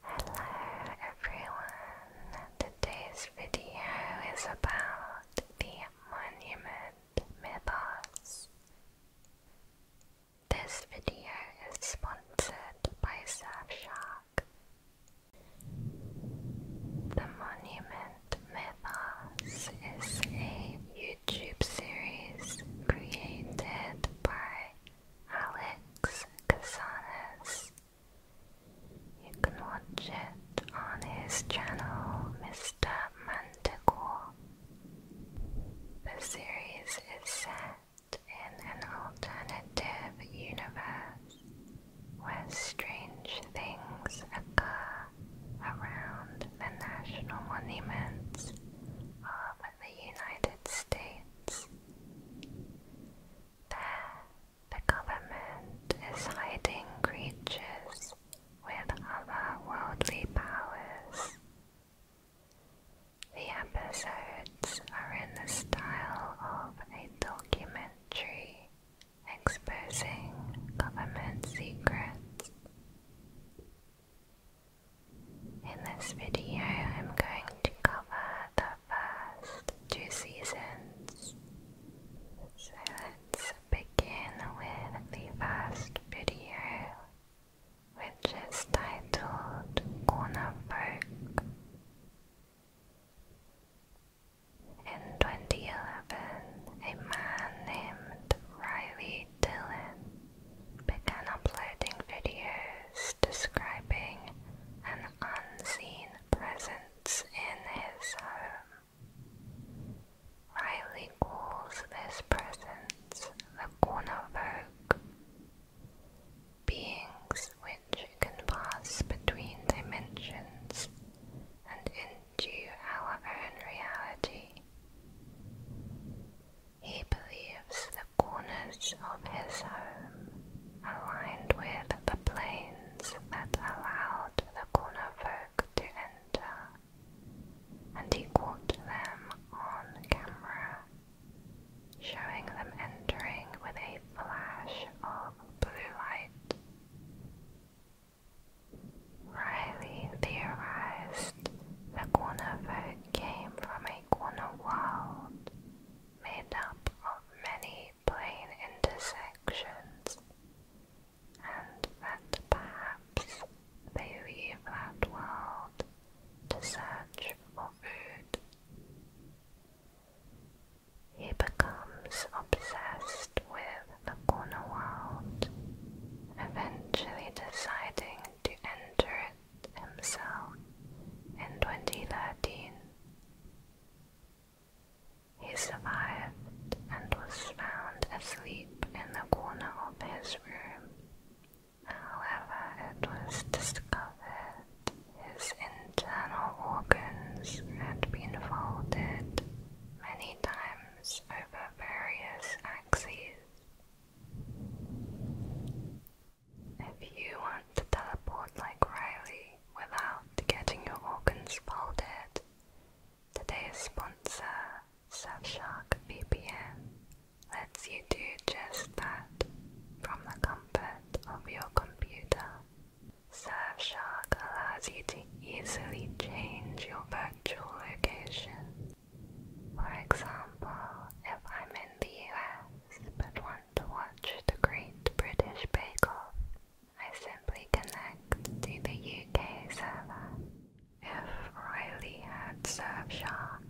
Hello everyone! Today's video is about the monument mythos. This video is sponsored by Surfshark. The monument mythos is a YouTube series created by Alex Casanas. You can watch it on his channel, Mr. Manticore. The series is set in an alternative universe where strange things occur around the national monuments of the United States. There, the government is hiding creatures with other worldly powers. The episodes are in the style of a documentary exposing government secrets. In this video, I'm going to cover the first two seasons. So let's begin with the first video, which is titled Corner Folk. In 2011, a man named Riley Dillon began uploading videos describing unseen presence in his home. Riley calls this presence the corner Beings which can pass between dimensions and into our own reality. He believes the corners of his home aligned with the plains that allowed the corner to enter, and he caught them on camera, showing them entering with a flash of blue light. Riley theorized the corner came from a corner made up of many plane intersections, and that perhaps they leave that world to search for food. He becomes obsessed with the corner world, eventually deciding to enter it himself in 2013. He survived and was found asleep in the corner of his room. However, it was discovered his internal organs had been folded many times over various axes. If you want to teleport like Riley without getting your organs folded, today's sponsor, Surfshark VPN, lets you do just that from the comfort of your computer. Surfshark allows you to easily change your virtual location. For example, if I'm in the US but want to watch the Great British Bake Off, I simply connect to the UK server. If Riley had Surf Shark,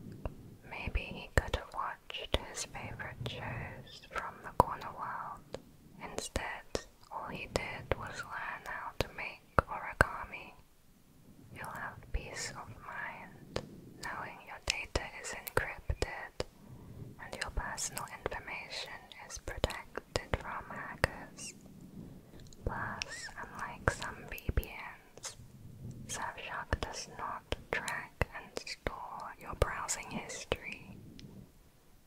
maybe he could have watched his favorite shows from the corner world. Instead, all he did was learn how to make origami. You'll have peace of mind knowing your data is encrypted and your personal information is protected from hackers. Plus, unlike some VPNs, Surfshark does not track and store your browsing history,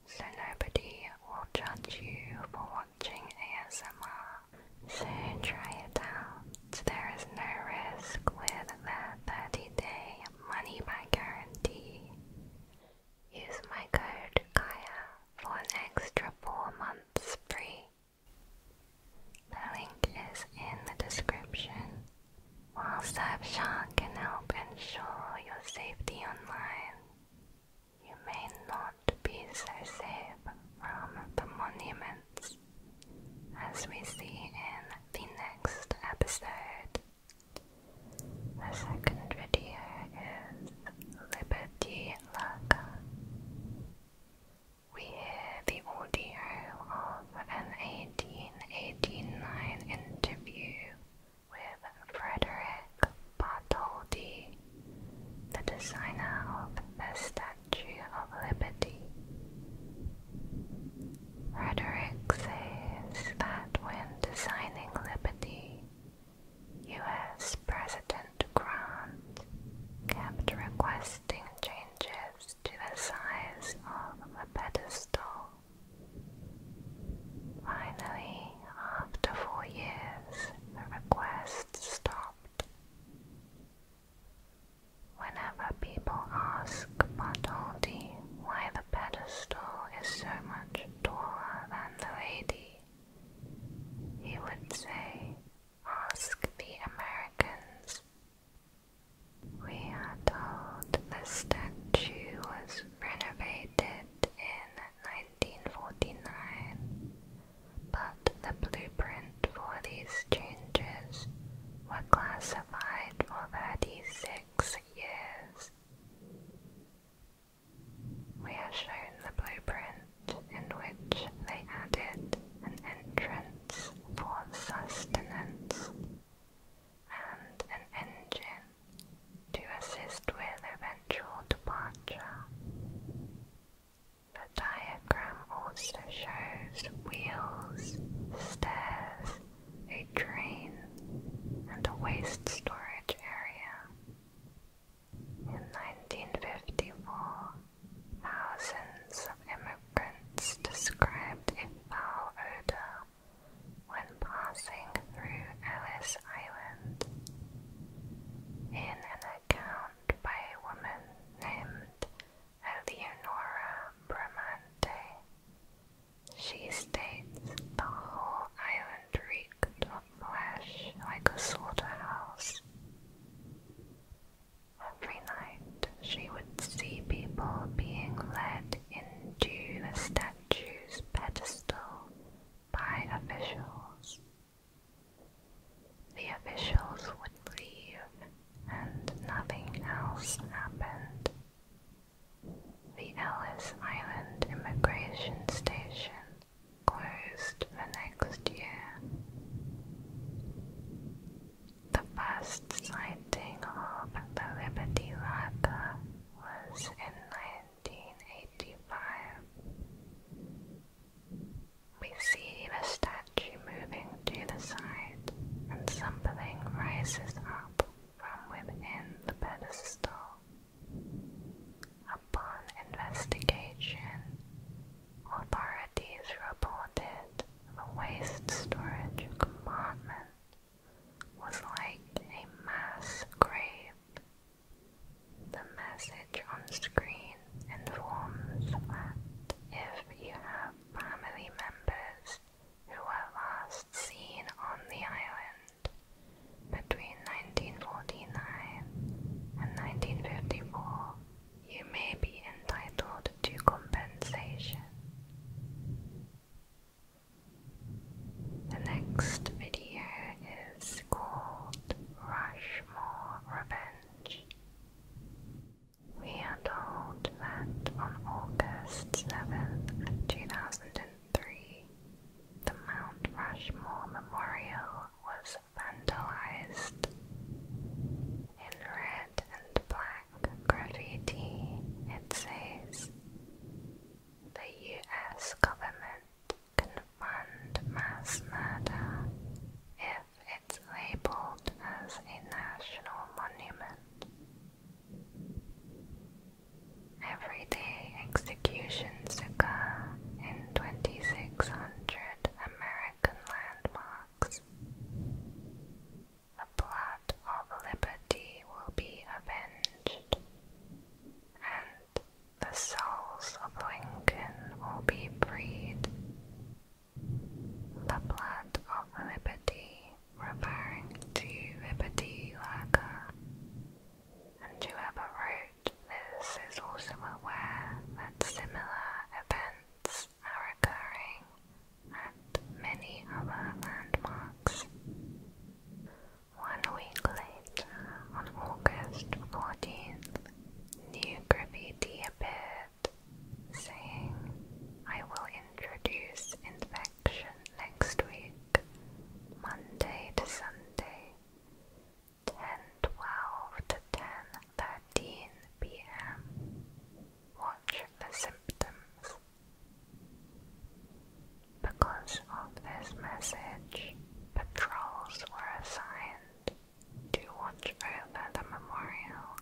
so nobody will judge you for watching ASMR. So try it out. There is no risk with that 30 day money back guarantee. Use my code Kaya for an extra four months free. The link is in the description. While Surfshark can help ensure your safety online, you may not be so safe from the monuments as we see in the next episode. The second video is Liberty Lurker. We hear the audio of an 1889 interview with Frederick Bartholdi, the designer of the Statue of Liberty. Rhetoric says that when designing liberty, U.S. President Grant kept requesting changes to the size of the pedestal. Finally, after four years, the request stopped. Whenever people ask Bartholdi why the pedestal is so much taller than the lady, he would say, Ask the Americans. We are told the statue was renovated in 1949, but the blueprint for these changes were classified over for 36 six years. We are shown the blueprint in which they added an entrance for sustenance and an engine to assist with eventual departure. The diagram also shows wheels, stairs, a drain, and a waste storage area. In 1954, thousands of immigrants described a foul odor when passing through Ellis Island. In an account by a woman named Eleonora Bramante, she states the whole island reeked of flesh like a slaughterhouse. Every night she would see people being led into the statue's pedestal by officials. The officials would leave and nothing else happened. The Ellis Island Immigration Station closed the next year. The first sighting of the Liberty Ladder was in 1985. We see the statue moving to the side and something rises up from within the pedestal. Upon investigation, authorities reported the waste storage compartment was like a mass grave. The message on screen informs that if you have family members who were last seen on the island between 1949 and 1954, you may be entitled to compensation. The next video is called Rushmore Revenge. We are told that on August 7, 2003, the Mount Rushmore Memorial was vandalized. In red and black graffiti, it says, The US government can fund mass murder if it's labeled as a national monument. Every day executions occur in 2600 American landmarks. The blood of liberty will be avenged, and the souls of Lincoln will be freed. The blood of liberty referring to vibhuti And whoever wrote this is also aware that similar events are occurring at many other landmarks. One week later, on August 14th, new appeared saying, I will introduce in next week, Monday to Sunday, 10:12 to 10:13 p.m. Watch the symptoms. Because of this message, patrols were assigned to watch over the memorial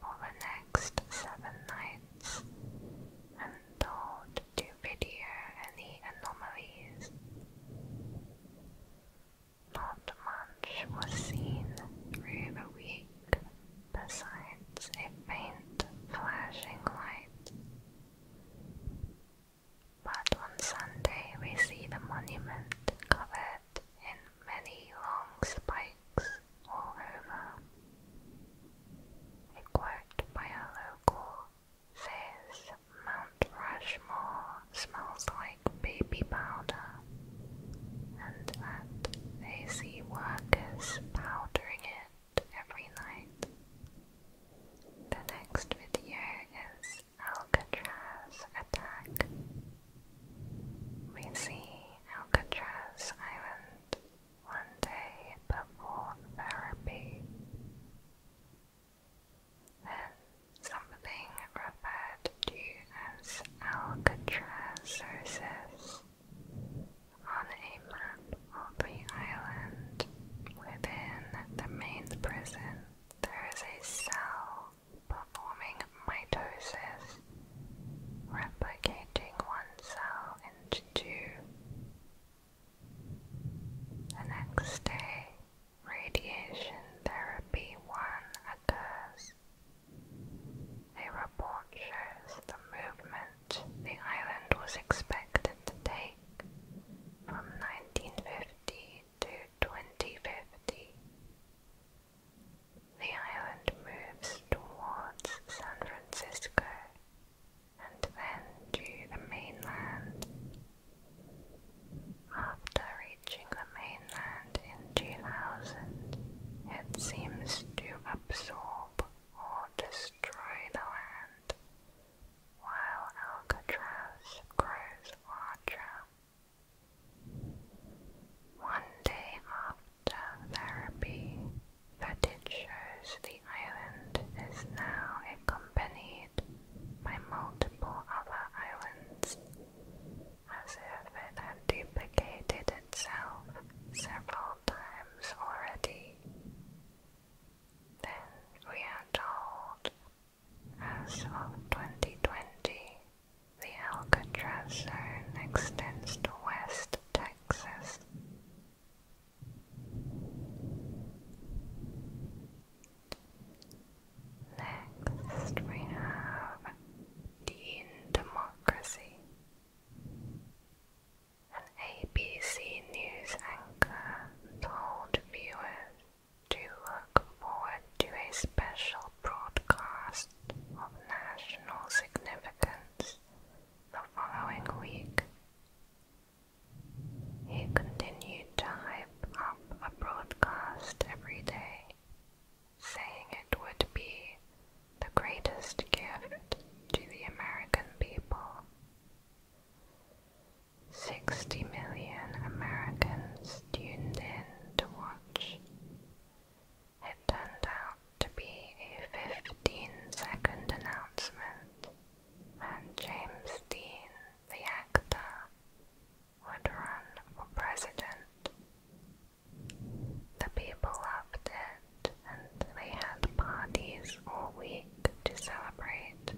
for the next seven nights and told to video any anomalies. Not much was seen through the week besides a faint flashing light. But on Sunday we see the monument covered in many long spikes all over. A quote by a local says Mount Rushmore smells like baby powder, and that they see workers powdering it every night. The next video is Alcatraz attack. We see Alcatraz Island one day before therapy. Then something referred to as Alcatrazoses on a map of the island within the main prison. There is a cell performing mitosis, replicating one cell and The next day, radiation therapy 1 occurs. A report shows the movement the island was expected to take from 1950 to 2050. The island moves towards San Francisco and then to the mainland. After reaching the mainland in 2000, it seems to absorb or destroy the land, while Alcatraz grows larger. One day after after therapy, footage shows the island is now accompanied by multiple other islands, as if it had duplicated itself several times already. Then we are told, as of 2020, the Alcatraz zone extends to West Texas, Next, we have Dean Democracy, an ABC news anchor told viewers to look forward to a special broadcast of national significance the following week. He continued to hype up a broadcast every day, saying it would be the greatest gift to the American people. Sixty million Americans tuned in to watch. It turned out to be a 15 second announcement, and James Dean, the actor, would run for president. The people loved it, and they had parties all week to celebrate.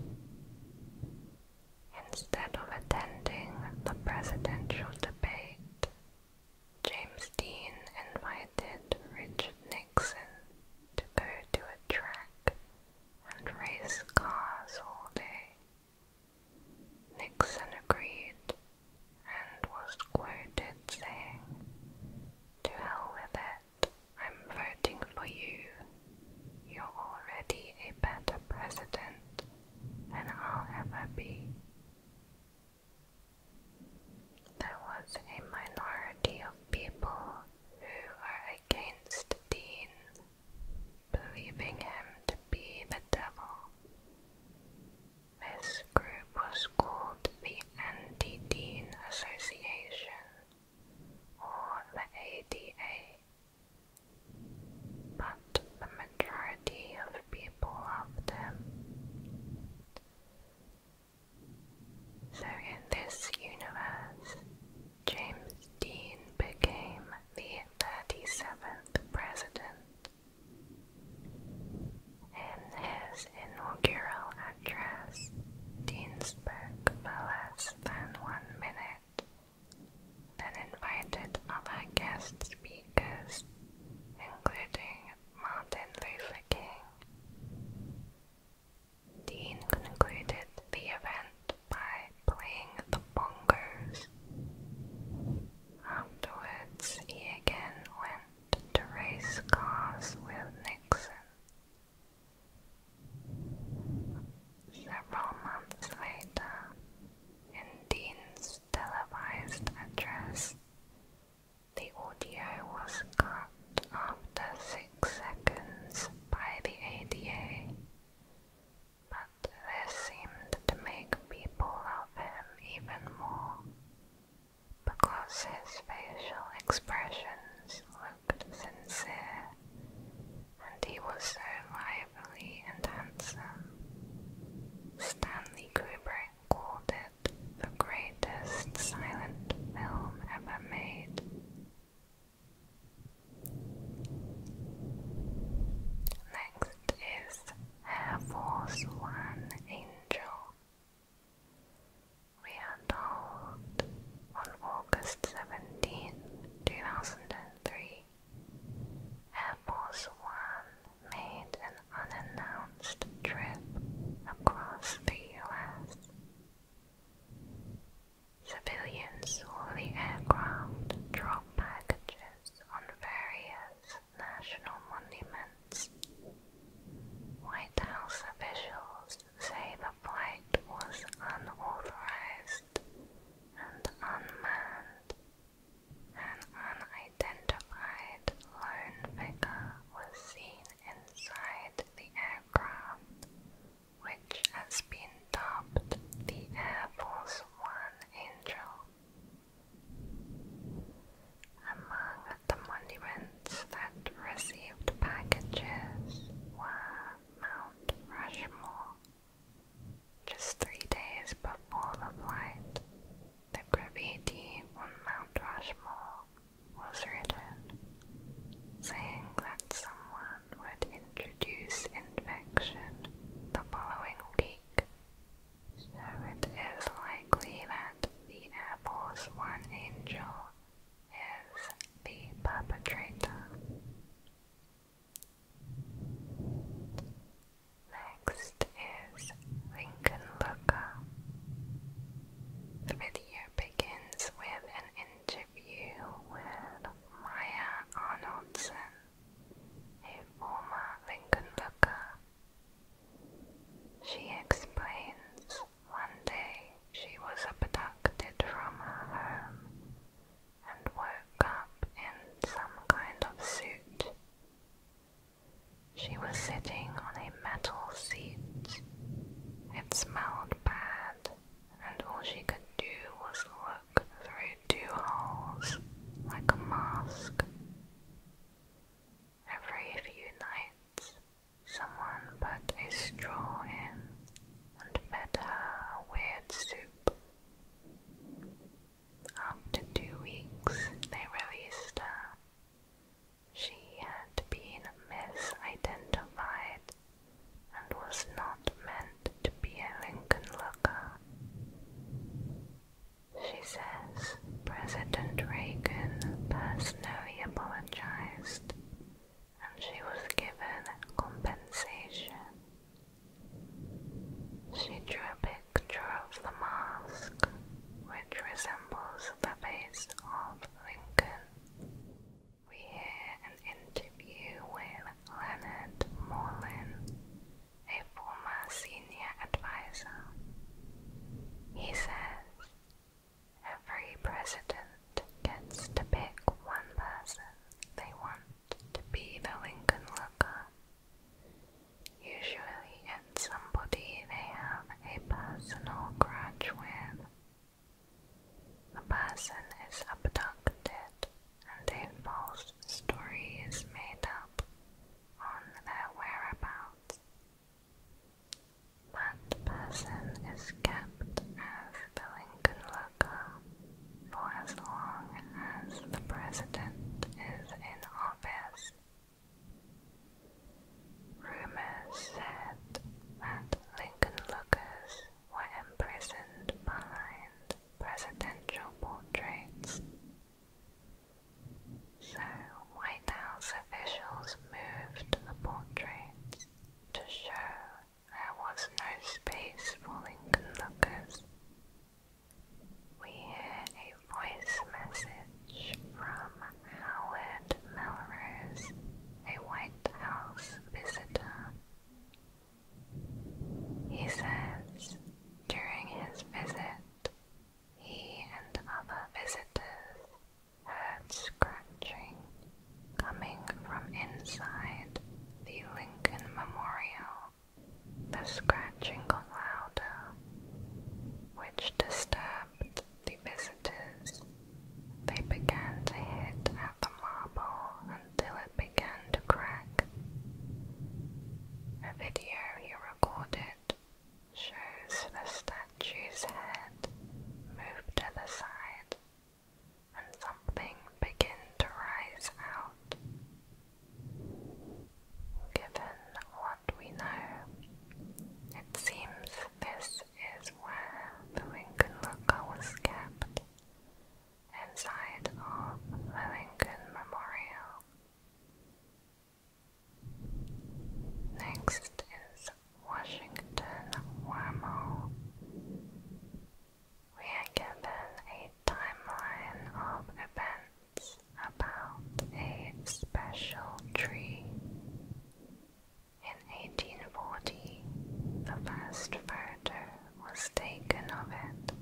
Instead of attending the presidential debate, James Dean invited Richard Nixon to go to a track and race cars all day. Nixon agreed and was quoted saying, To hell with it, I'm voting for you. You're already a better president than I'll ever be. There was a minority of people who are against Dean, believing him to be the devil. This group was called the Anti Dean Association or the ADA. But the majority of people loved him. So, in this universe, James Dean became the 37th president. In his inaugural address, Dean spoke for less than one minute, then invited other guest speakers, including Martin Luther King. Dean concluded the event by playing the bongos. Afterwards, he again went to race cars with Nixon. Several months later, in Dean's televised address, the audio was cut after six seconds by the ADA, but this seemed to make people of him even more, because his facial expressions looked sincere, and he was so lively and handsome. Stanley Kubrick called it the greatest silent film ever made. Next is Air Force One Angel. We are told on August 17, 2003, Air Force One made an unannounced trip across the U.S. Civilians saw the aircraft drop packages on various national monuments. White House officials say the flight was unauthorized and unmanned. An unidentified lone figure was seen inside the aircraft, which has been dubbed the Air Force One Angel. Among the monuments that received packages were Mount Rushmore. Just three days before the flight, the graffiti on Mount Rushmore was written, saying that someone would introduce infection the following week, so it is likely that the Apple's one angel is the perpetrator. Next is Lincoln video begins with an interview with Maya Arnoldson, a former Lincoln She explains one day she was abducted from her home and woke up in some kind of suit. She was sitting on a metal seat. It smelled bad, and all she could do was look through two holes like a mask. Every few nights, someone put a straw in and fed her a weird soup. After two weeks, they released her. She had been misidentified and was not meant to be a Lincoln looker. She says President Reagan personally apologized and she was given compensation. She drew a picture of the mask, which resembles the face of Lincoln. We hear an interview with Leonard Moreland, a former senior advisor. He says, Every president gets to pick one person they want to be the Lincoln Looker. Usually it's somebody they have a personal grudge with. The person is abducted and a false story is made up on their whereabouts. That person is kept as the Lincoln Looker for as long as the president is in office. Rumors said that Lincoln lookers were imprisoned behind presidential portraits. So White House officials moved the portraits to show there was no space for Lincoln lookers. We hear a voice message from Howard Melrose, a White House visitor. He says during his visit, he and other visitors heard scratching coming from inside the Lincoln Memorial. The scratching got louder, which disturbed the visitors. They began to hit at the marble until it began to crack. A video he recorded shows the statue's head moved to the side and something begin to rise out. Given what we know, it seems this is where the Lincoln Lookout was kept, inside of the Lincoln Memorial. Next is Washington Wormhole. We are given a timeline of events about a special tree. In 1840, the first photo was taken of it.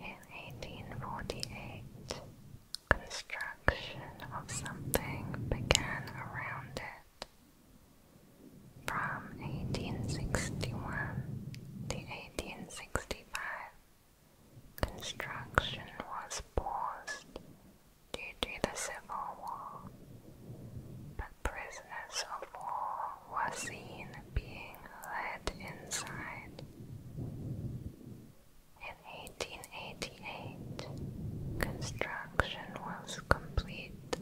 In 1848, construction of something began around it. From 1861 to 1865, construction was paused due to the Civil War, but prisoners of war were seen being led inside. In 1888, construction was complete,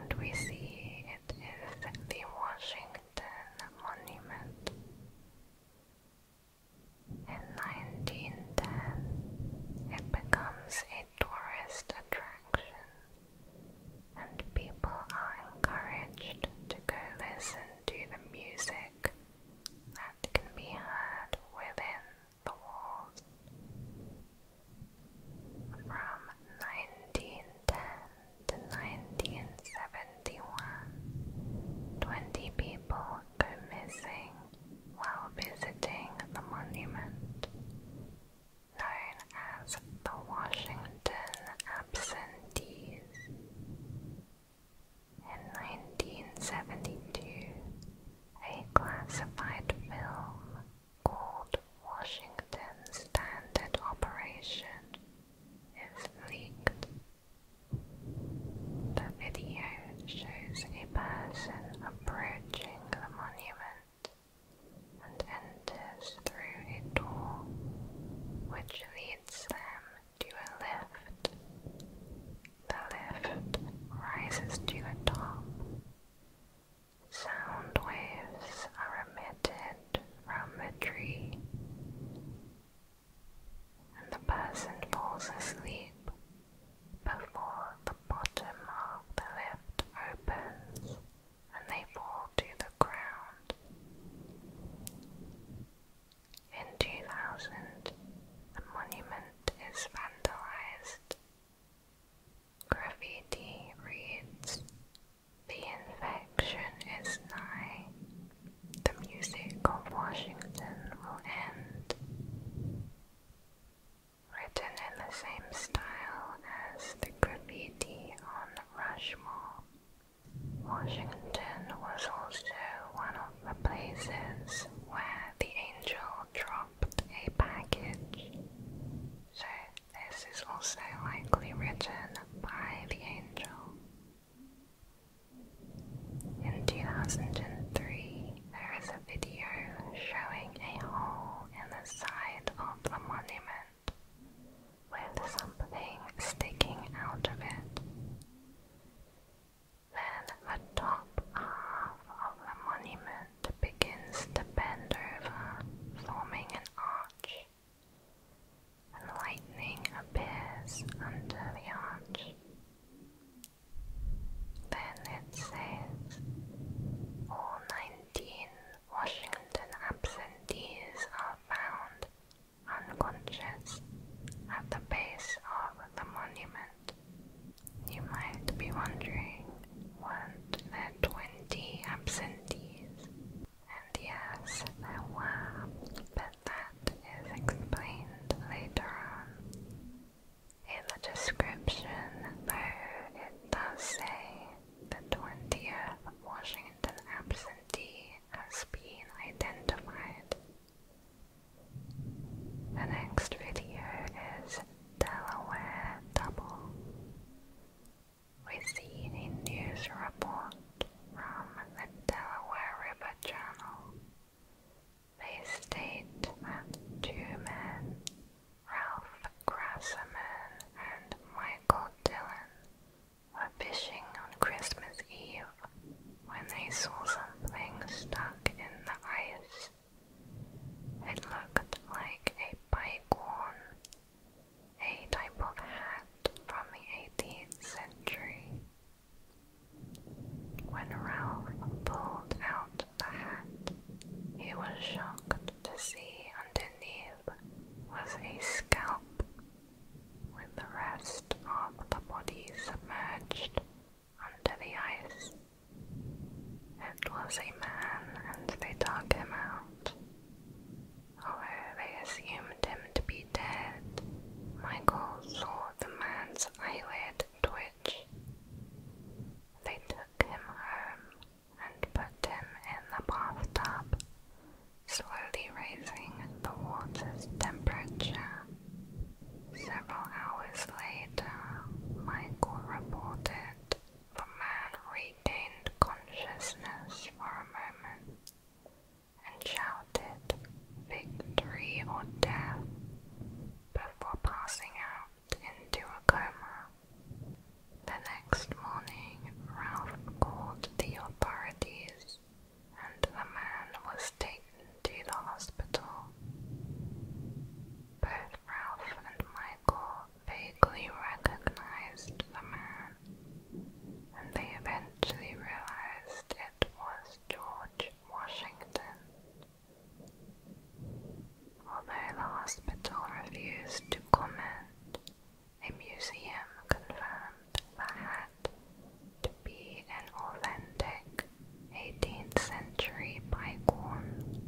and we see it is the Washington Monument. In 1910, it becomes a tourist attraction, and people are encouraged to go listen to the music that can be heard within the walls. From 1910 to 1971, 20 people go missing while visiting the monument known as the Washington Absentees. In 1972, a classified film called Washington Standard Operation is leaked the video shows a person approaching the monument and enters through a door which leads them to a lift. The lift rises to a top. Sound waves are emitted from the tree, and the person falls asleep before the bottom of the lift opens and they fall to the ground. In 2000, the monument is vandalized. Graffiti reads, The infection is nigh. The music of Washington will end written in the same style as the graffiti on Rushmore. Washington was also one of the places where the angel dropped a package, so this is also likely written by the angel. In 2003, there is a video showing a hole in the side of the monument with something sticking out of it. Then the top half of the monument begins to bend over, forming an arch. lightning appears under the arch. Then it says all 19 Washington absentees are found unconscious at the base of the monument. You might be wondering, weren't 20 absentees? And yes, there were, but that is explained later on in the description, though it does say the 20th Washington absentee has been identified. The next video is Delaware Double. We see a news report from the Delaware River Channel. They state that two men, Ralph Grassaman and Michael Dillon, were fishing on Christmas Eve when they saw something stuck in the ice. It looked like a pike horn, a type of hat from the 18th century. When Ralph pulled out the hat, he was shocked to see underneath was a scalp with the rest of the body submerged under the ice. It was a man, and they dug him out. Although they assumed him to be dead, Michael saw the man's eyelid twitch. They took him home and put him in the bathtub, slowly raising the water's temperature. Several hours later, Michael reported the man retained consciousness for a moment and shouted victory or death before passing out into a coma. The next morning, Ralph called the authorities, and the man was taken to the hospital. Both Ralph and Michael vaguely recognized the man, and they eventually realized it was George Washington, Although the hospital refused to comment, a museum confirmed the hat to be an authentic 18th century bygone.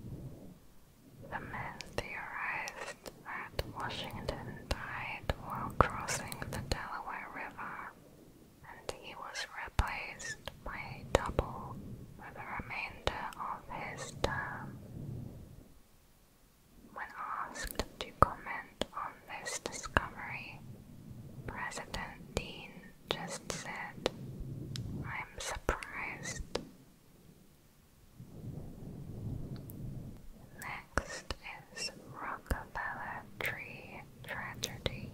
The men theorized that Washington died while crossing the Delaware River and he was replaced by a double for the remainder of his term. When asked to comment on this discovery, President Dean just said, I'm surprised. Next is Rockefeller Tree Tragedy.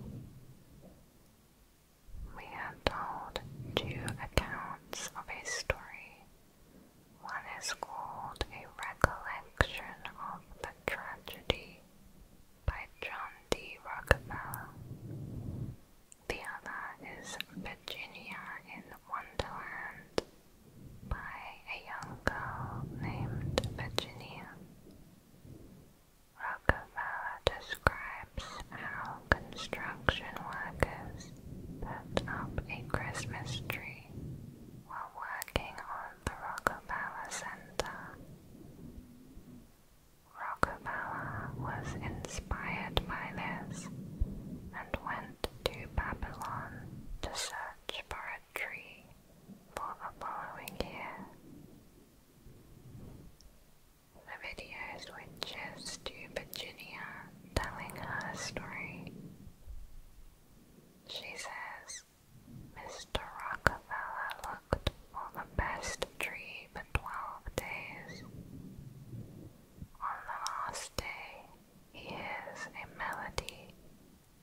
We have told two accounts of a story. One is called A Recollection of the Tragedy by John D. Rockefeller. The other is Virginia in Wonderland by a young girl named Virginia. Rockefeller describes how construction workers put up a Christmas tree while working on the Rockefeller Center. Rockefeller was inspired by this and went to Babylon to search for a tree for a following year. The videos switches just Virginia telling her story. She says, Mr. Rockefeller looked for the best tree for 12 days. On the last day, he hears a melody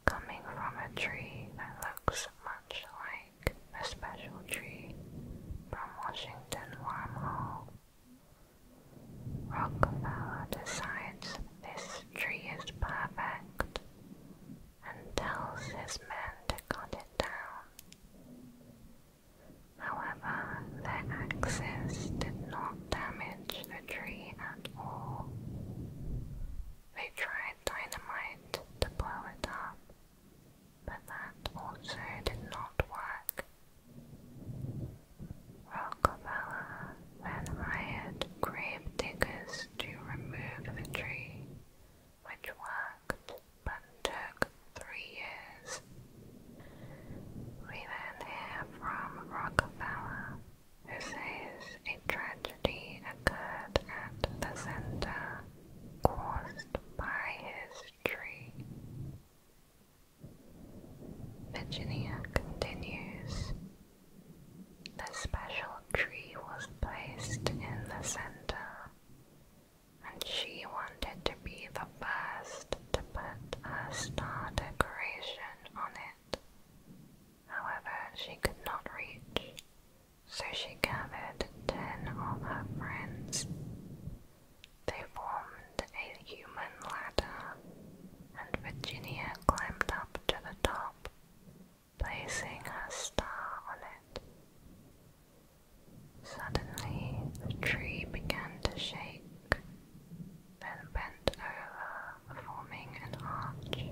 coming from a tree that looks much like like a special tree from Washington Wormhole. Rockefeller decides this tree is perfect and tells his men to cut it down. However, their axes did not damage the tree at all. They tried dynamite to blow it up, but that also did not work. Rockefeller then hired grave diggers to remove the tree, which worked but took three years. We then hear from Rockefeller, who says a tragedy occurred at the center caused by his Virginia continues. The special tree was placed in the center, and she wanted to be the first to put a star decoration on it. However, she could not reach so she gathered ten of her friends. They formed a human ladder, and Virginia climbed up to the top, placing her star on it. Suddenly, the tree began to shake, then bent over, forming an arch.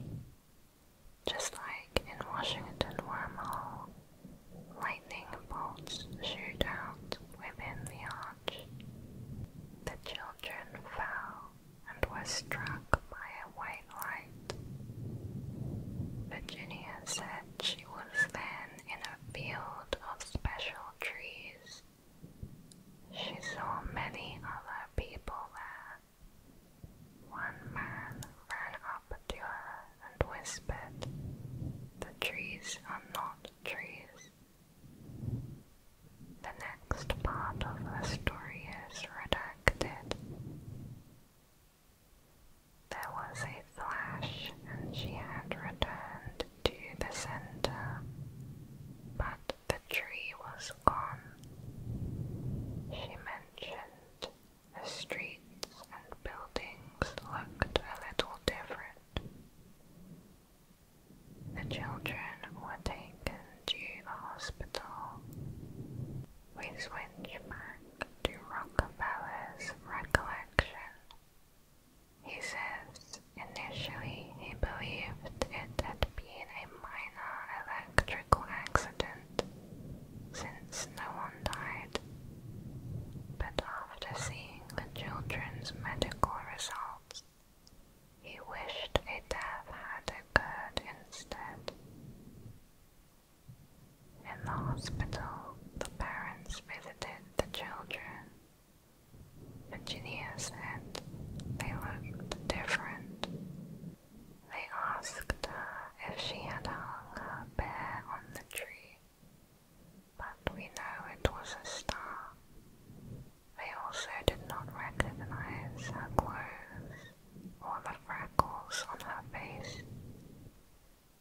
Just like in Washington Wormhole, Lightning bolts shoot out within the arch. The children fell and were struck by a white light. Virginia said she was then in a field of special trees. She saw many other people there. One man ran up to her and whispered, The trees are not trees. The next part of the story is redacted. There was a flash, and she had returned to the center, but the tree was gone. She mentioned the streets and buildings looked a little different. The children were taken to the hospital. We switch back to Rockefeller's recollection. He says initially he believed it had been a minor electrical accident since no one died. But after seeing the children's medical results, he wished a death had occurred instead. In the hospital, the parents visited the children. Virginia said they looked different. They asked if she had hung her bear on the tree but we know it was a star. They also did not recognize her clothes or the freckles on her face.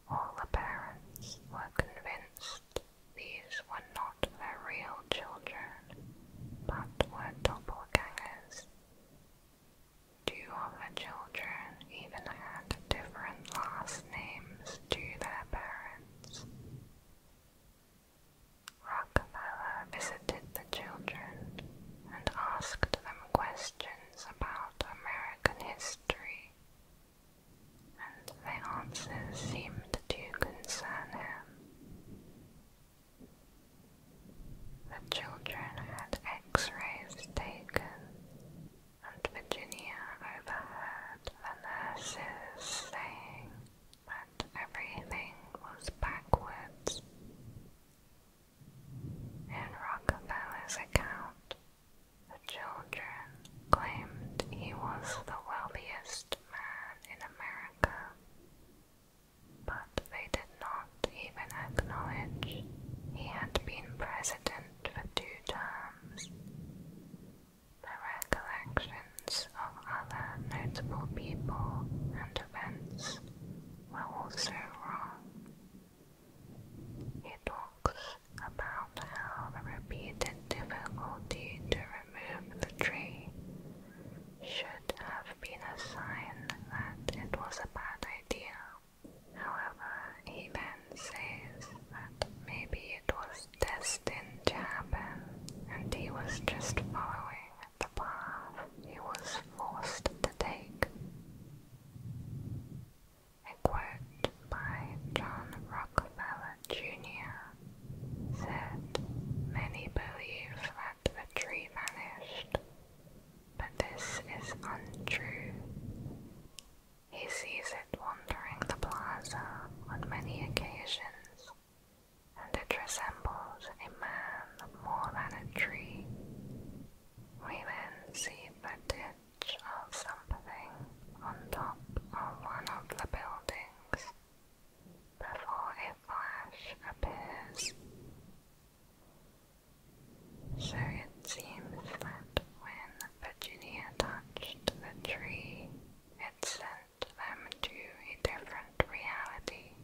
All the parents were convinced these were not their real children, but were doppelgangers. Two of the children even had different last names to their parents. Rockefeller visited the children and asked them questions about American history, and the answers seemed to concern him. The children had x rays taken and Virginia overheard the nurses saying that everything was backwards. In Rockefeller's account, the children claimed he was the wealthiest man in America, but they did not even acknowledge he had been president for two terms farms. There were collections of other notable people and events were also wrong. He talks about how the repeated difficulty to remove the tree should have been a sign that it was a bad idea. However, then says that maybe it was destined to happen and he was just following the path he was forced to take. A quote by John Rockefeller Jr. said, Many believe that the tree vanished, but this is untrue. He sees it wandering the plaza on many occasions, and it resembles a man more than a tree. We then see the ditch of something on top of one of the buildings before a flash appears. So it seems that when Virginia touched the tree, it sent them to a different reality,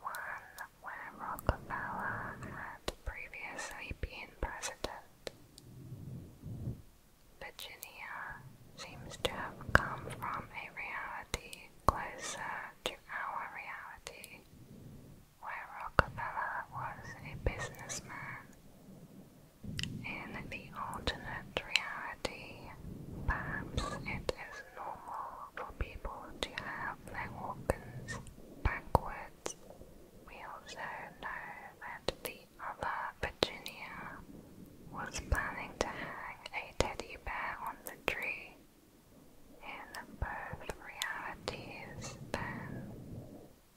one where Rockefeller had previously been president. Virginia seems to have come from a reality closer to our reality, where Rockefeller was a businessman. In the alternate reality, perhaps it is normal for people to have their organs backwards. We also know that the other Virginia was planning to hang a teddy bear on the tree. In both realities, then,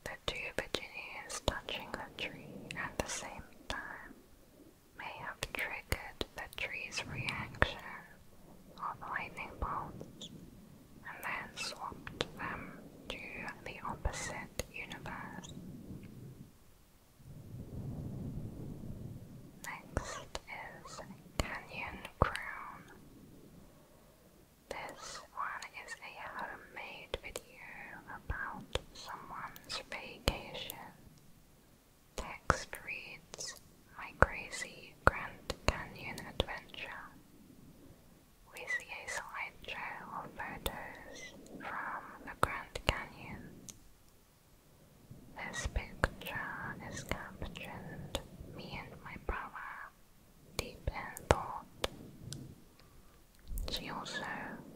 the two Virginians touching the tree at the same time may have triggered the tree's reaction of lightning bolts and then swapped them to the opposite universe. Next is Canyon Crown. This one is a homemade video about someone's vacation. Text reads, My Crazy Grand Canyon Adventure. We see a slideshow of photos from the Grand Canyon. This picture is captioned, Me and My Brother deep in thought. She also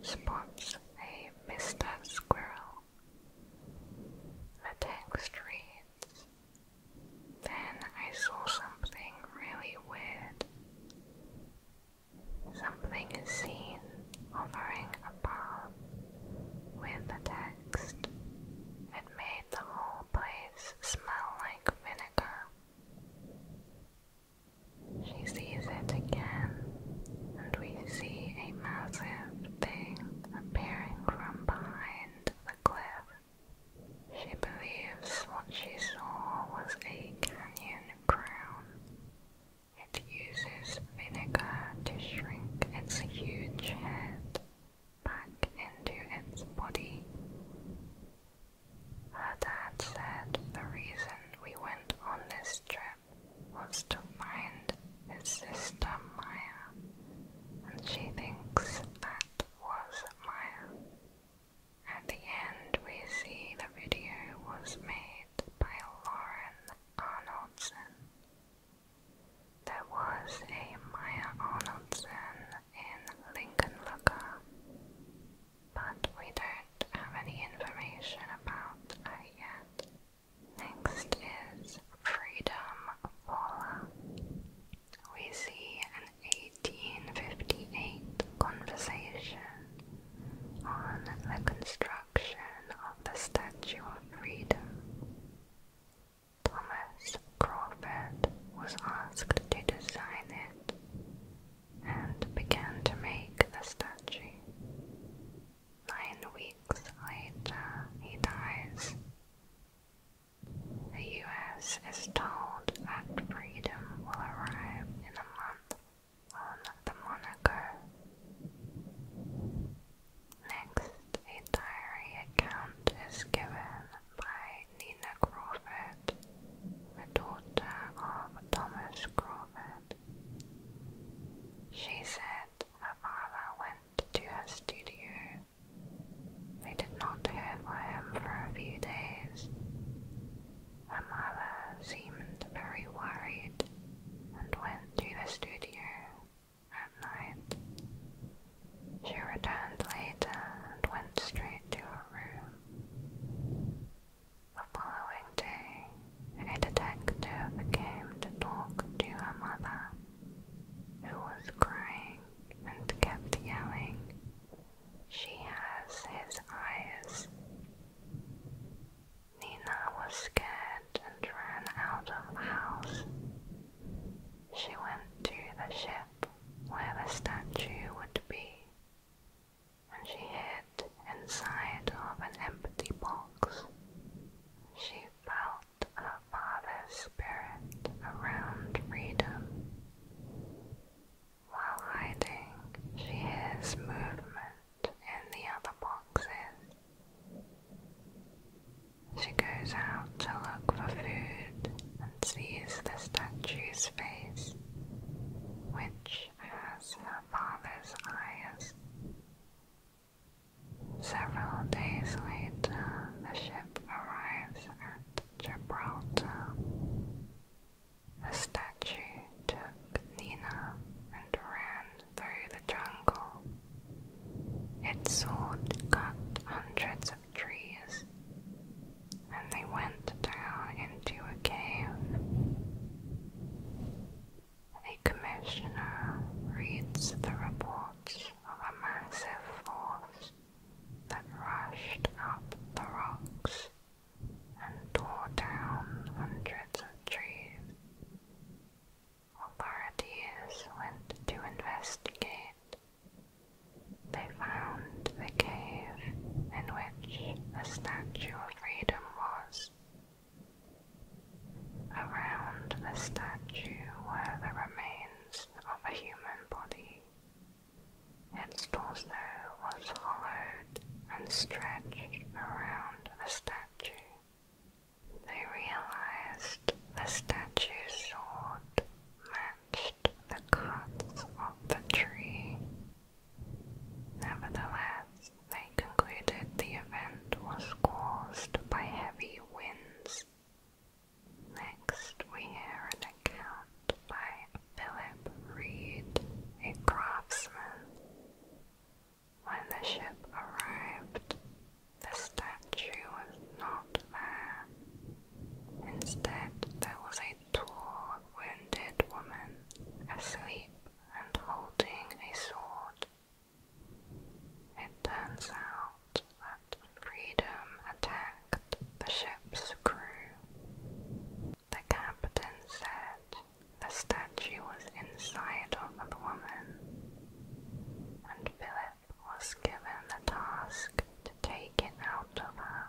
spots a Mr. Squirrel. The text reads Then I saw something really weird. Something is seen a above with the text. It made the whole place smell like vinegar. She sees it again, and we see a massive thing appearing from behind the cliff. She believes what she saw was a canyon crown. It uses vinegar to shrink its huge head back into its body. Her dad said the reason we went on this trip was to find his sister Maya, and she thinks that was Maya. At the end, we see the video was made by Lauren Arnoldson. There was a Maya Arnoldson in Lincoln, Lincolnlugger, but we don't have any information about it yet. Next is Freedom Paula. We see an 1858 conversation on the construction of the Statue of Freedom. Thomas Crawford was asked to design it, and began to make the statue. Nine weeks later, he dies. The US is told that freedom will arrive in a month on the moniker. Next, a diary account is given by Nina Crawford, daughter of Thomas Crawford. She said her father went to her studio. They did not hear from him for a few days. Her seemed very worried and went to the studio at night. She returned later and went straight to her room. The following day, a detective came to talk to her mother, who was crying and kept yelling, She has his eyes. Nina was scared and ran out of the house. She went to the ship where the statue would be when she hid inside of an empty box, she felt her father's spirit around freedom. While hiding, she hears movement in the other boxes. She goes out to look for food sees the statue's face, which has her father's eyes. Several days later, the ship arrives at Gibraltar. The statue took Nina and ran through the jungle. It sword cut hundreds of trees, and they went down into a cave. A commissioner reads the reports of a massive force that rushed up the rocks and tore down hundreds of trees. Authorities went to investigate, they found the cave in which the Statue of Freedom was. Around the statue were the remains of a human body. Its torso was hollowed and stretched around the statue. They realized the statue sword the cuts of the tree. Nevertheless, they concluded the event was caused by heavy winds. Next, we hear an account by Philip Reed, a craftsman. When the ship arrived, the statue was not there. Instead, there was a a wounded woman asleep and holding a sword. It turns out that Freedom attacked the ship's crew. The captain said the statue was inside of the woman, and Philip was given the task to take it out of her.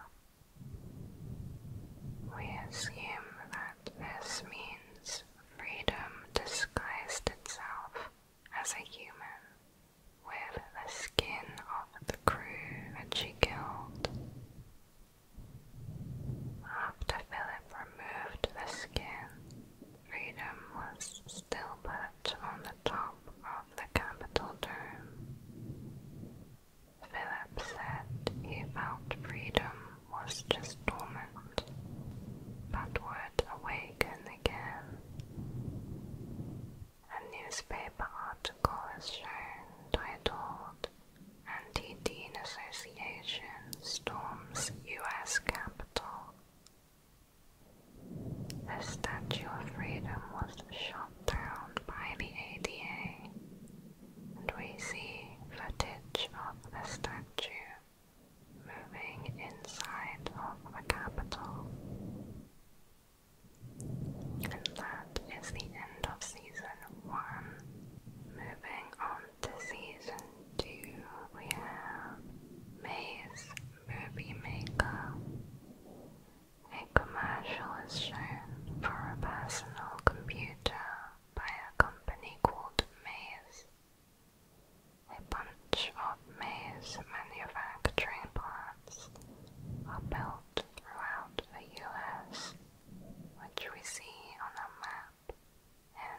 We assume that this means freedom disguised itself as a human with the skin of the crew that she killed. After Philip removed the skin, Freedom was still put on the top of the Capitol dome. Philip said he felt freedom was just dormant, but would awaken again. A newspaper article was shown titled Anti-Dean Association Storms U.S. Capitol. The Statue of Freedom was shot upheld by the ADA, and we see footage of the statue moving inside of the Capitol. And that is the end of season one. Moving on to season two, we have Maze Movie Maker. A commercial is shown for a personal computer by a company called Maze. A bunch of Maze manufacturing plants are built throughout the US, which we see on a map in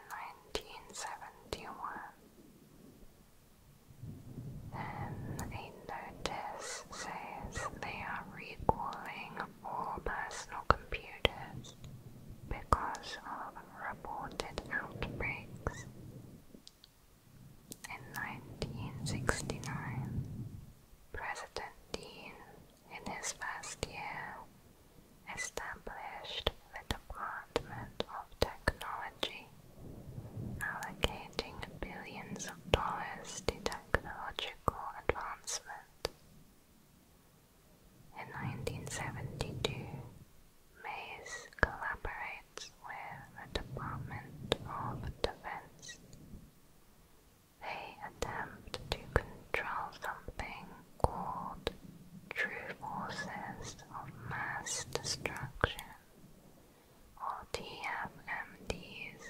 1971 notice says they are recalling all personal computers because of reported outbreaks. In 1969, President Dean, in his first year, established the Department of Technology, allocating billions of dollars to technological advancement. In 1972, Mays collaborates with the Department of Defense. They attempt to control something called true forces of mass destruction, or TFMDs,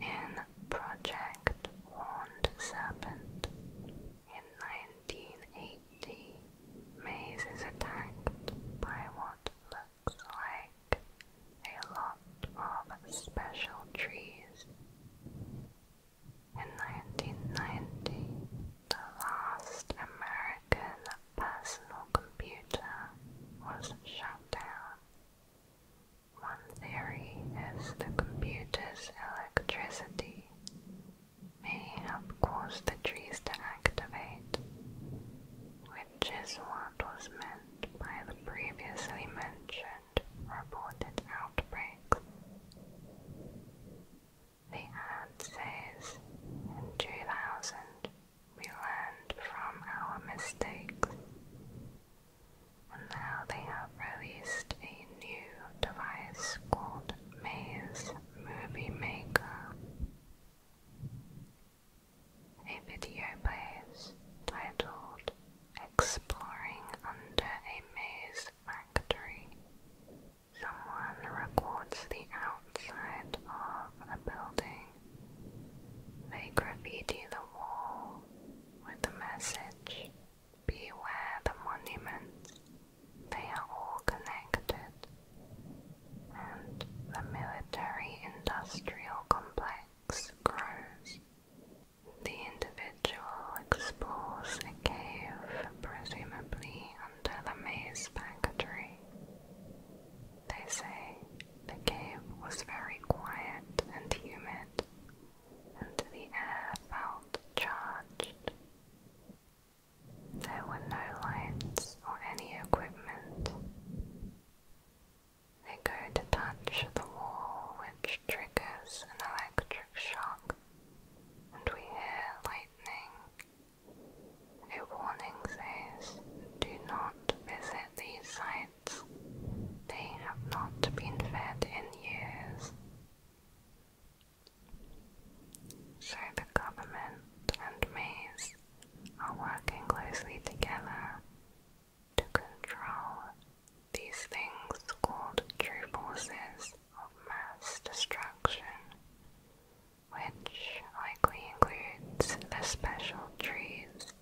in Project Horned Serpent in 1980, Maze is attacked by what looks like a lot of special trees. In 1990, the last American personal computer was shut down. One theory is the computer's electricity may have caused the trees to activate, which is what was meant by the previously mentioned reported outbreaks. The ad says, in 2000, we learned from our mistakes now they have released a new device called Maze Movie Maker. A video plays titled Exploring Under a Maze Factory. Someone records the outside of a building they graffiti the wall with the message Beware the monuments. They are all connected. And the military industrial complex grows. The individual explores a cave, presumably under the maze factory. They say the cave was very quiet and humid, and the air felt charged. There were no lights or any equipment. They go to touch the wall, which triggers an electric shock, and we hear lightning. A warning says, Do not visit these sites. They have not been fed in years. So the government and maize are working closely together to control these things called true of mass destruction, which likely includes the special trees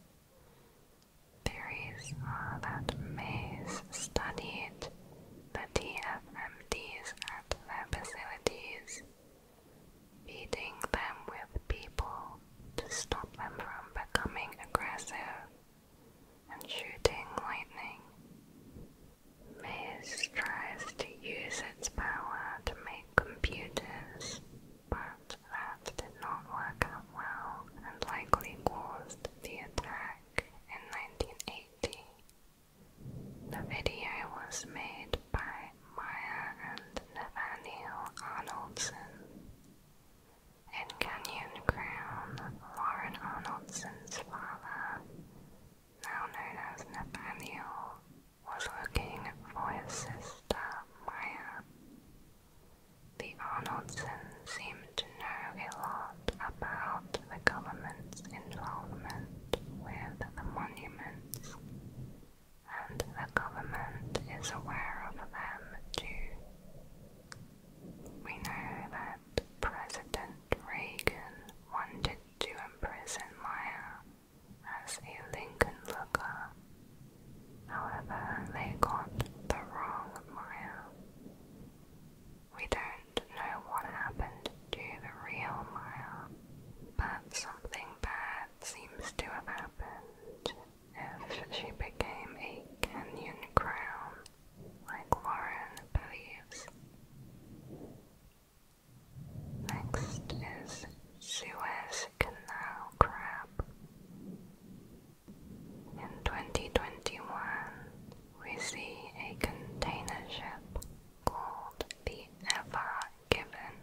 Theories are that Mays studied the TFMDs at their facilities, feeding them with people to stop them from becoming aggressive and shooting lightning. Maze tries to use its power to make computers but that did not work out well and likely caused the attack in 1980. The video was made by Maya and Nathaniel Arnoldson. In Canyon Crown, Lauren Arnoldson's father, now known as Nathaniel, was looking for his sister Maya. The Arnoldson seem to know a lot about the government's involvement with the monuments, and the government is aware of them too. We know that President Reagan wanted to imprison Maya as a Lincoln looker However, they got the wrong Maya. We don't know what happened to the real Maya, but something bad seems to have happened if she became a canyon crown, like Warren believes. Next is Suez Canal Crab. In 2021, we see a container ship called the Ever Given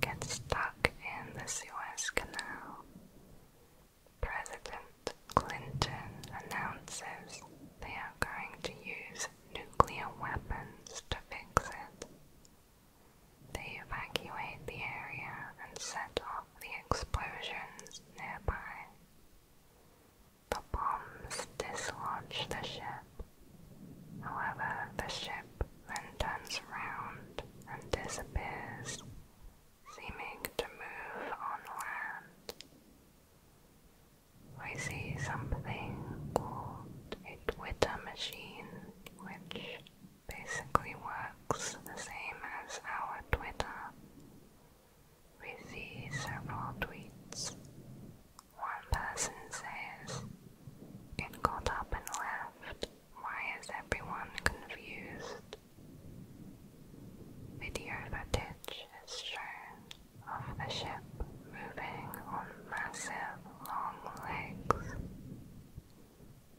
gets stuck in the Suez Canal. President Clinton announces they are going to use nuclear weapons to fix it. They evacuate the area and set off the explosions nearby. The bombs dislodge the ship. However, the ship then turns around and disappears, seeming to move on land. We see something called a Twitter machine, which basically works the same as our Twitter. We see several tweets. One person says, It got up and left. Why is everyone confused? Video footage is shown of the ship moving on massive long legs.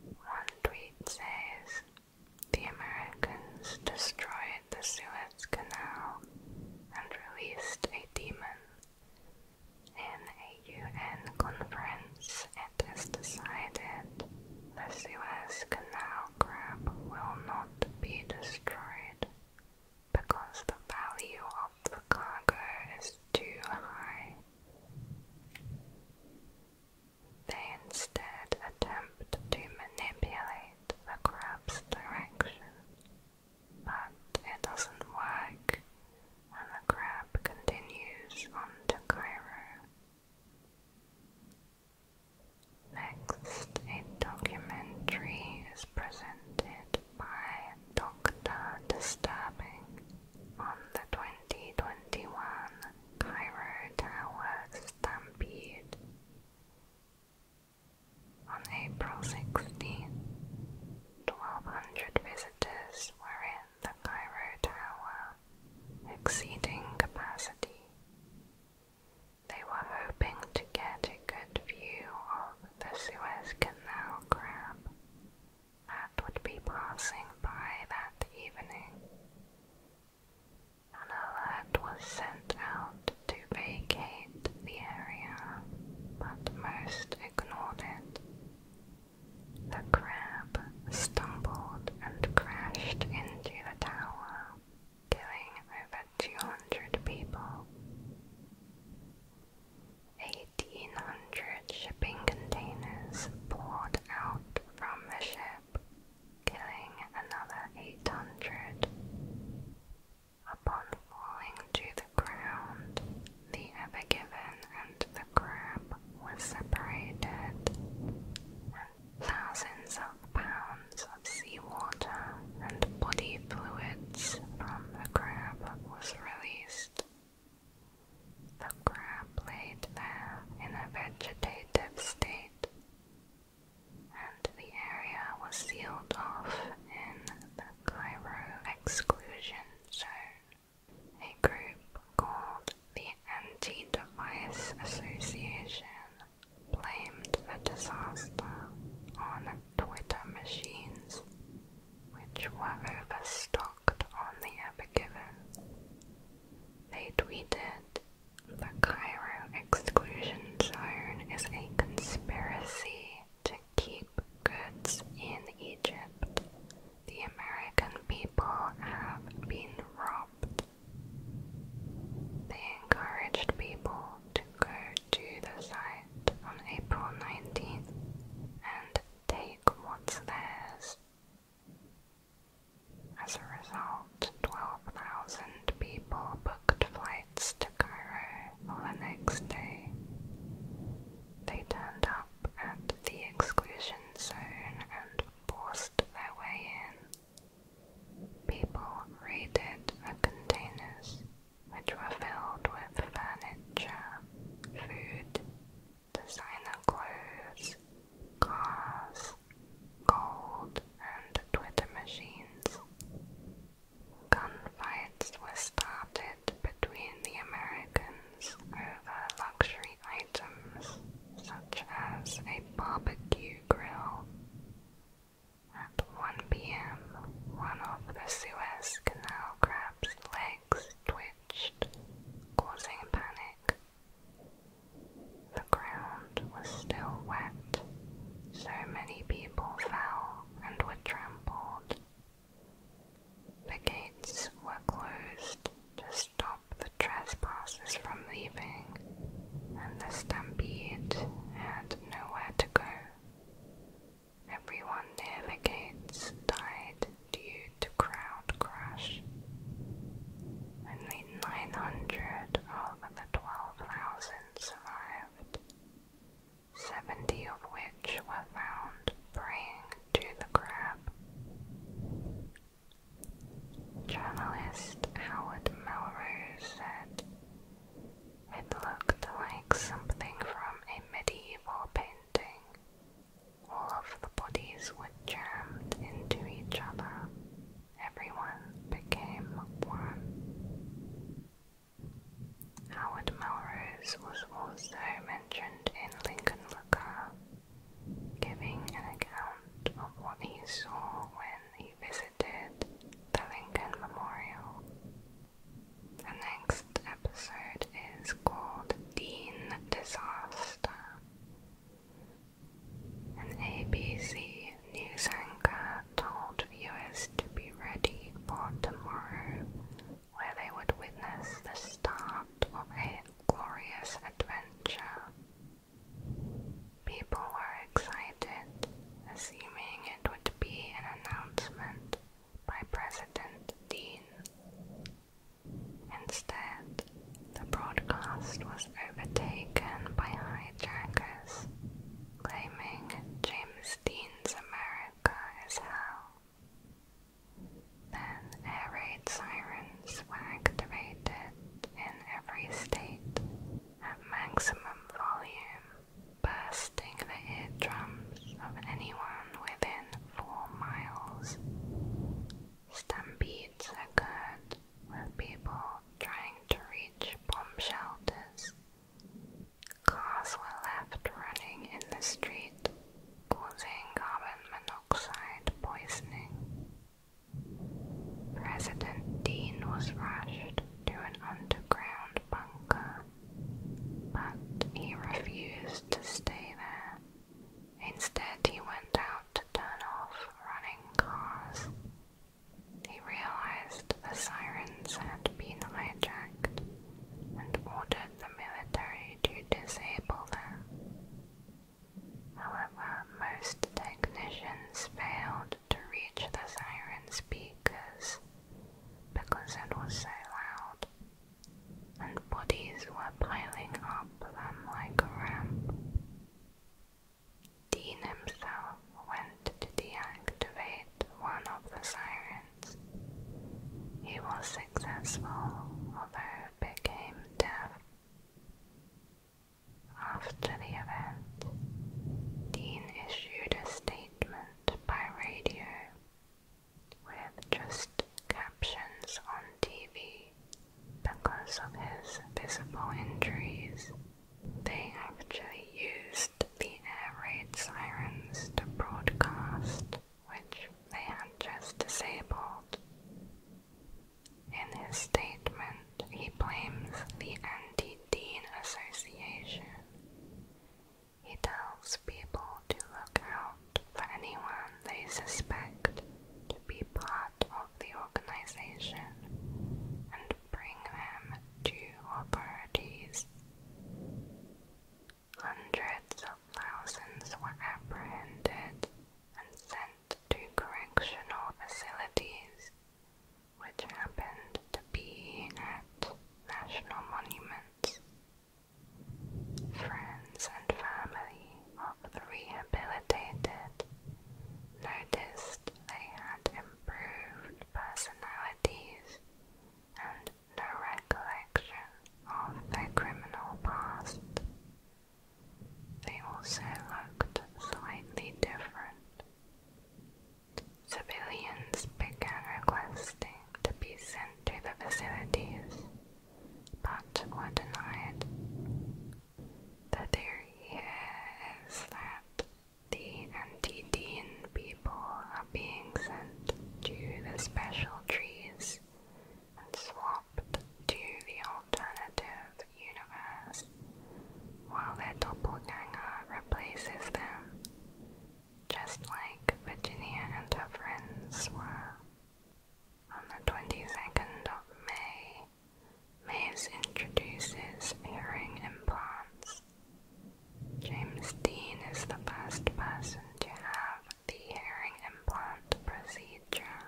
One tweet says, the Americans destroyed the Suez Canal and released a demon. In a UN conference, it is decided the Suez Canal grab will not be destroyed because the value of the cargo is too high. They instead attempt to manipulate the crab's direction, but it doesn't work, and the crab continues on to Cairo. Next, a documentary is presented by Dr. Disturbing on the 2021 Cairo Tower Stampede. On April 16, 1,200 visitors were in the Cairo Tower, exceeding capacity. They were hoping to get a good view of the Suez Canal crab that would be passing by that evening. An alert was sent out to vacate the area, but most ignored it. The crab stumbled and crashed into the tower, killing over 200 people. 1,800 shipping containers poured out from the ship ship, killing another 800. Upon falling to the ground, the Evergiven and the crab were separated, and thousands of pounds of seawater and body fluids from the crab was released. The crab laid there in a vegetative state, and the area was sealed off in the Cairo Exclusion Zone. A group called the Anti-Device Association blamed the disaster on Twitter machines, which were overstocked on the Ever Given. They tweeted, The Cairo exclusion zone is a conspiracy to keep goods in Egypt. The American people have been robbed. They encouraged people to go to the site on April 19th and take what's theirs as a result, 12,000 people booked flights to Cairo for the next day. They turned up at the exclusion zone and forced their way in. People raided the containers, which were filled with furniture, food, designer clothes, cars, gold, and Twitter machines. Gunfights were started between the Americans over luxury items such as a barbecue grill. At 1 p.m., one of the Suez Canal crab's legs twitched, causing panic the ground was still wet, so many people fell and were trampled. The gates were closed to stop the trespassers from leaving, and the stampede had nowhere to go. Everyone near the gates died due to crowd crush. Only 900 of the 12,000 survived, 70 of which were found praying to the crab. Journalist Howard Melrose said, It looked like something from a medieval painting. All of the bodies were jammed into each other. Everyone became one. Howard Melrose was also mentioned in Lincoln Looker, giving an account of what he saw when he visited the Lincoln Memorial. The next episode is called Dean Disaster, an ABC news anchor told viewers to be ready for tomorrow, where they would witness the start of a glorious adventure. People were excited, assuming it would be an announcement by President Dean. Instead, the broadcast was overtaken by hijackers claiming James Dean's America is hell. Then air raid sirens were activated in every state at maximum volume, bursting the eardrums of anyone within four miles. Stampedes occurred with people trying to reach bomb shelters. Cars were left running in the street, causing carbon monoxide poisoning. President Dean was rushed to an underground bunker, but he refused to stay there Instead, he went out to turn off running cars. He realized the sirens had been hijacked and ordered the military to disable them. However, most technicians failed to reach the siren speakers because it was so loud, and bodies were piling up them like a ramp. Dean himself went to deactivate one of the sirens. He was successful, although became deaf. After the event, Dean issued a statement by radio with just captions on TV because of his visible injuries, they actually used the air raid sirens to broadcast, which they had just disabled. In his statement, he blames the Anti-Dean Association. He tells people to look out for anyone they suspect to be part of the organization and bring them to authorities. Hundreds of thousands were apprehended and sent to correctional facilities, which happened to be at national monuments. Friends and family of the rehabilitated noticed they had improved personalities and no recollection of their criminal past. They also looked slightly different. Civilians began requesting to be sent to the facilities, but were denied, the theory is that the Antedian people are being sent to the special trees and swapped to the alternative universe, while their doppelganger replaces them, just like Virginia and her friends were. On the 22nd of May, Mays introduces hearing implants. James Dean is the first person to have the hearing implant procedure.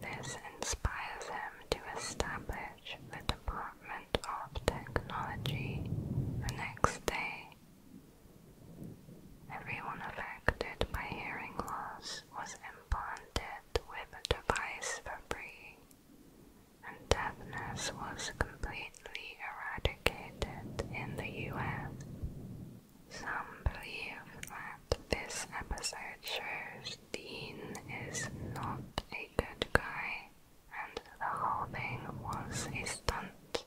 This inspires him to establish the Department of Technology the next day. Everyone affected by hearing loss was implanted with a device for breathing, and deafness was completely eradicated in the US. Some believe that this episode shows Dean is not a good guy and the whole thing was a stunt.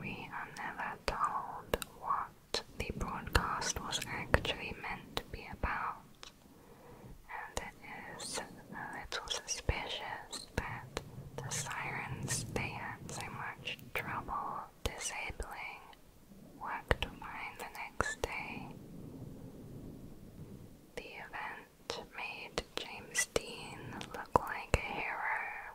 We are never told what the broadcast was actually meant to be about, and it is a little suspicious that the sirens they had so much trouble disabling worked fine the next day. The event made James Dean look like a hero,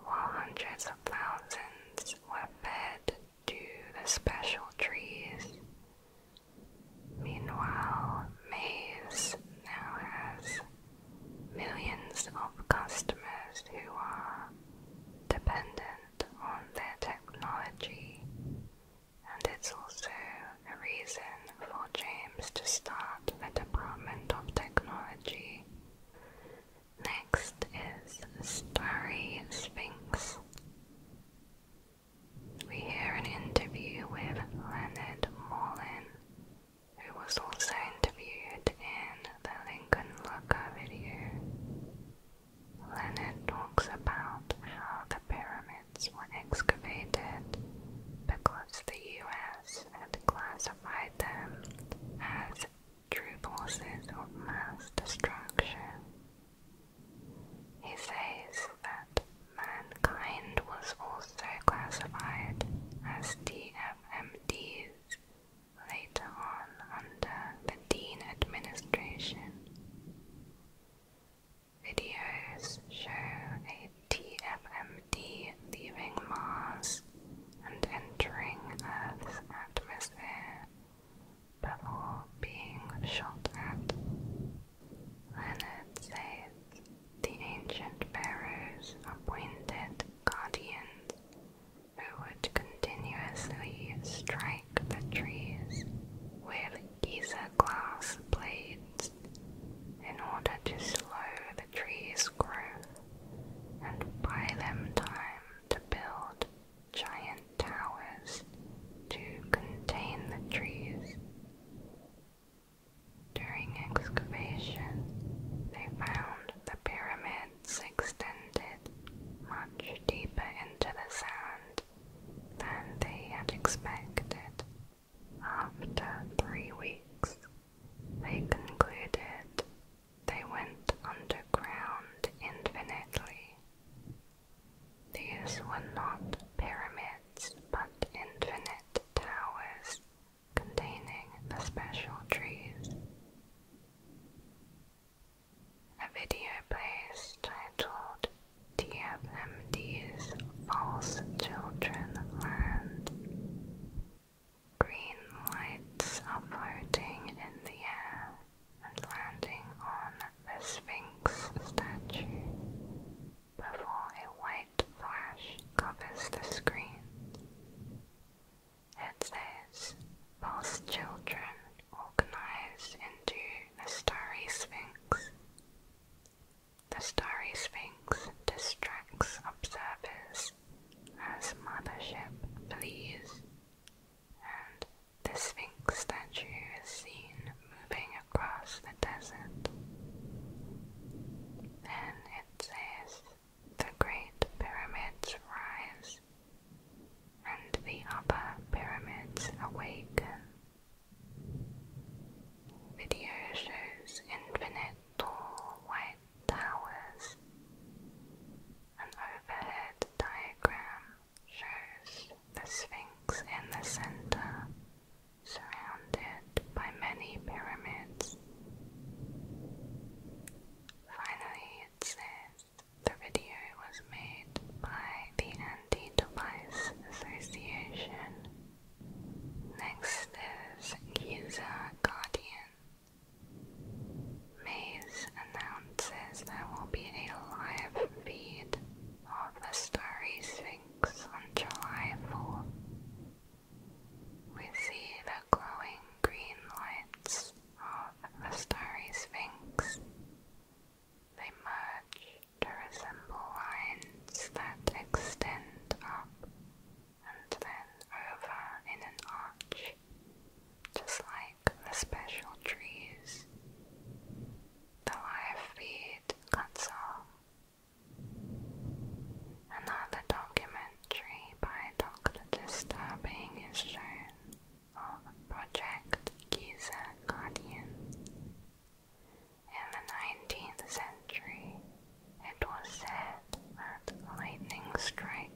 while hundreds of thousands were fed to the special trees. Meanwhile, Maze now has millions of customers who are dependent on their technology, and it's also a reason for James to start the Department of Technology Next is Starry Sphinx. We hear an interview with Leonard Morlin, who was also interviewed in the Lincoln Looker video. Leonard talks about how the pyramids were excavated because the US had classified them as forces of mass destruction. He says that mankind was also classified as DFMDs later on under the Dean administration. Videos show a TFMD leaving Mars and entering Earth's atmosphere before being shot Leonard says the ancient pharaohs appointed guardians who would continuously strike the trees with Giza glass blades in order to slow the tree's growth and buy them time to build giant towers to contain the trees. During excavation, they found the pyramids extended much deeper into the sand than they had expected. After three weeks, they concluded they went underground infinitely. These were not pyramids, but infinite towers containing the special trees. A video plays titled TFMD's False Children Land. Green lights are floating in the air and landing on the Sphinx statue before a white flash covers the screen. It says, False children organized into the Starry Sphinx. The Starry Sphinx distracts observers as Mothership flees, the Sphinx statue is seen moving across the desert. Then it says, The Great Pyramids rise, and the upper pyramids awaken. Video shows infinite tall white towers. An overhead diagram shows the Sphinx in the center, surrounded by many pyramids. Finally, it says the video was made by the Anti Association. Next is Giza Guardian. Maze announces there will be a live feed of the Starry Sphinx on July 4th. We see the glowing green lights of the starry Sphinx. They merge to resemble lines that extend up and then over in an arch just like the special trees, the live feed console, another documentary by Dr. Disturbing is shown of um, Project Giza Guardian. In the 19th century, it was said that lightning strikes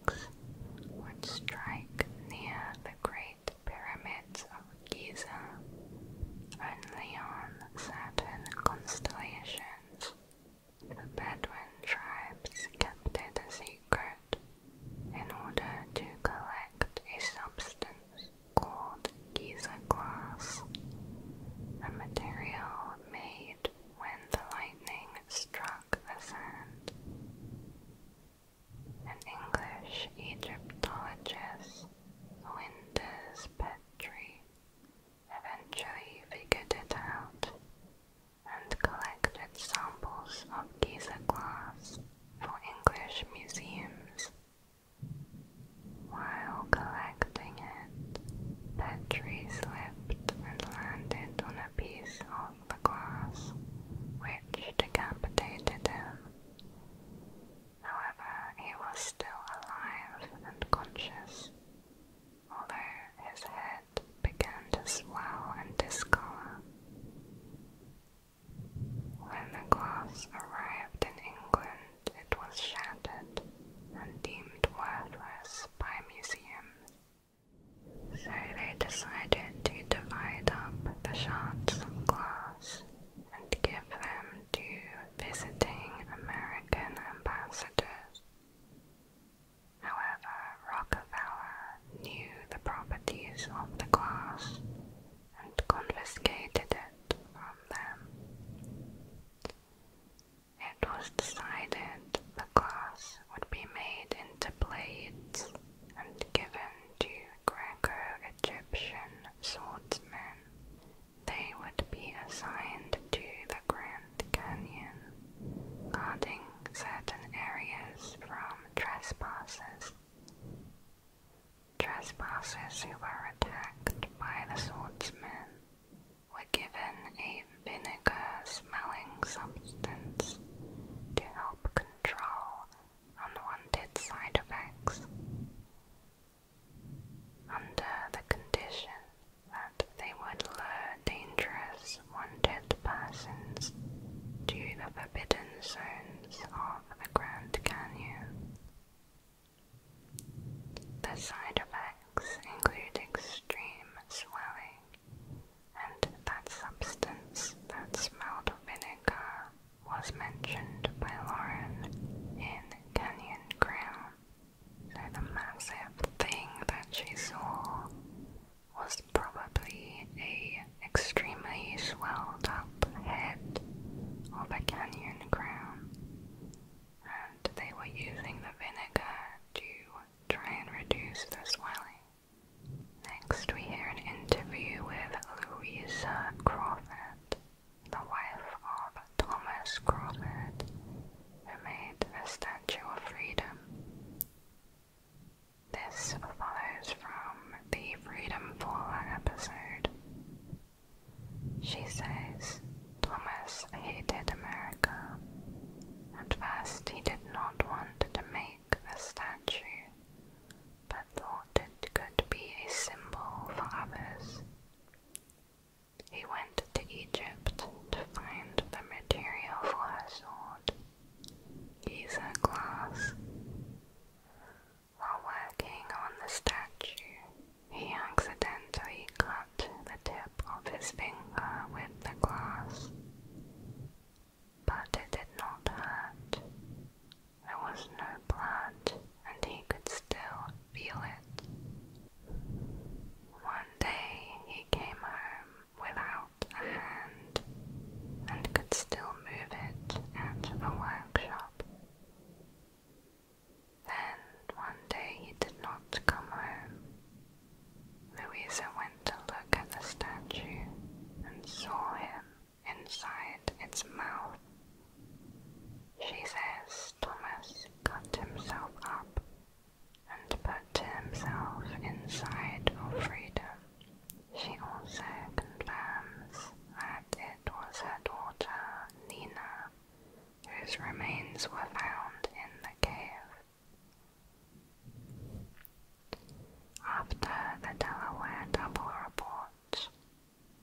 would strike near the great pyramids of Giza, only on certain constellations. The Bedouin tribes kept it a secret in order to collect a substance called Giza glass, a material made when the lightning struck the sand. An English Egyptologist, Windus Petrie, eventually figured it out and collected samples of Giza glass for English museums. While collecting it, Petrie slipped and landed on a piece of the glass, which decapitated him. However, he was still alive and conscious, although his head began to swell and discolor. When the glass arrived in England, it was shattered and deemed worthless by museums so they decided to divide up the shards of glass and give them to visiting American ambassadors. However, Rockefeller knew the properties of the glass and confiscated it from them. It was decided the glass would be made into blades and given to Greco-Egyptian swordsmen. They would be assigned to the Grand Canyon, guarding certain areas from trespassers. Trespassers who were attacked by the swordsmen were given a vinegar smelling substance to help control unwanted side effects under the condition that they would lure dangerous wanted persons to the forbidden zones of the Grand Canyon. The side effects include extreme swelling and that substance that smelled of vinegar was mentioned by Lauren in Canyon Grim. So the massive thing that she saw was probably a extremely swelled up head of a canyon crown. And they were using the vinegar to try and reduce the swelling. Next, we hear an interview with Louisa Crawford, the wife of Thomas Crawford, who made the Statue of Freedom. This follows from the Freedom Faller episode. She says Thomas hated America. At first, he did not want to make the statue, but thought it could be a symbol for others. He went to Egypt to find the material for her sword, Giza glass. While working on the statue, he accidentally cut the tip of his finger with the glass but it did not hurt. There was no blood, and he could still feel it. One day he came home without a hand and could still move it at the workshop. Then one day he did not come home. Louisa went to look at the statue and saw him inside its mouth. She says Thomas cut himself up and put himself inside of freedom. She also confirms that it was her daughter Nina whose remains were found in the cave. After the Delaware Double Report,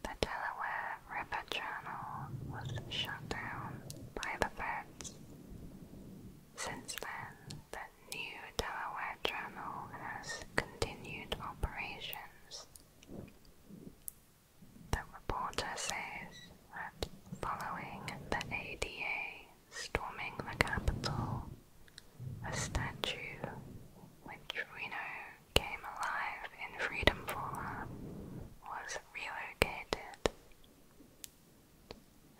the Delaware River Channel was shut down by the feds. Since then, the new Delaware Channel has continued operations. The reporter says that following the ADA storming the Capitol a statue which we know came alive in Freedom Faller, was relocated.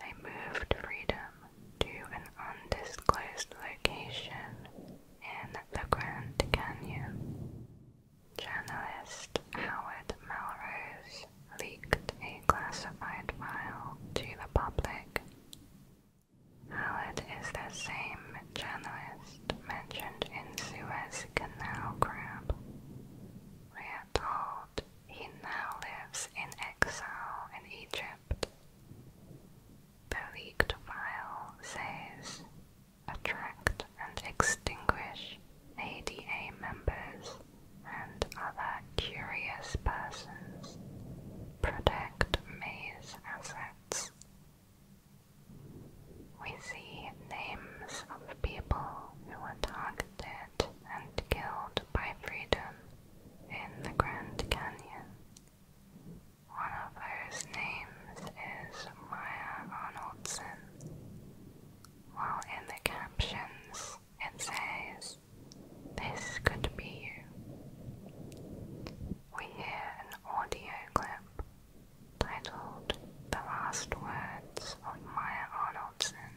They moved Freedom to an undisclosed location in the Grand Canyon. Journalist Howard Melrose leaked a classified file to the public. Howard is the same journalist mentioned in Suez Canal Crab. We are told he now lives in exile in Egypt. The leaked file says, attract and extinguish ADA members and other curious persons. Protect May we see names of people who were targeted and killed by freedom in the Grand Canyon. One of those names is Maya Arnoldson. While in the captions it says, this could be you. We hear an audio clip titled The Last Words of Maya Arnoldson.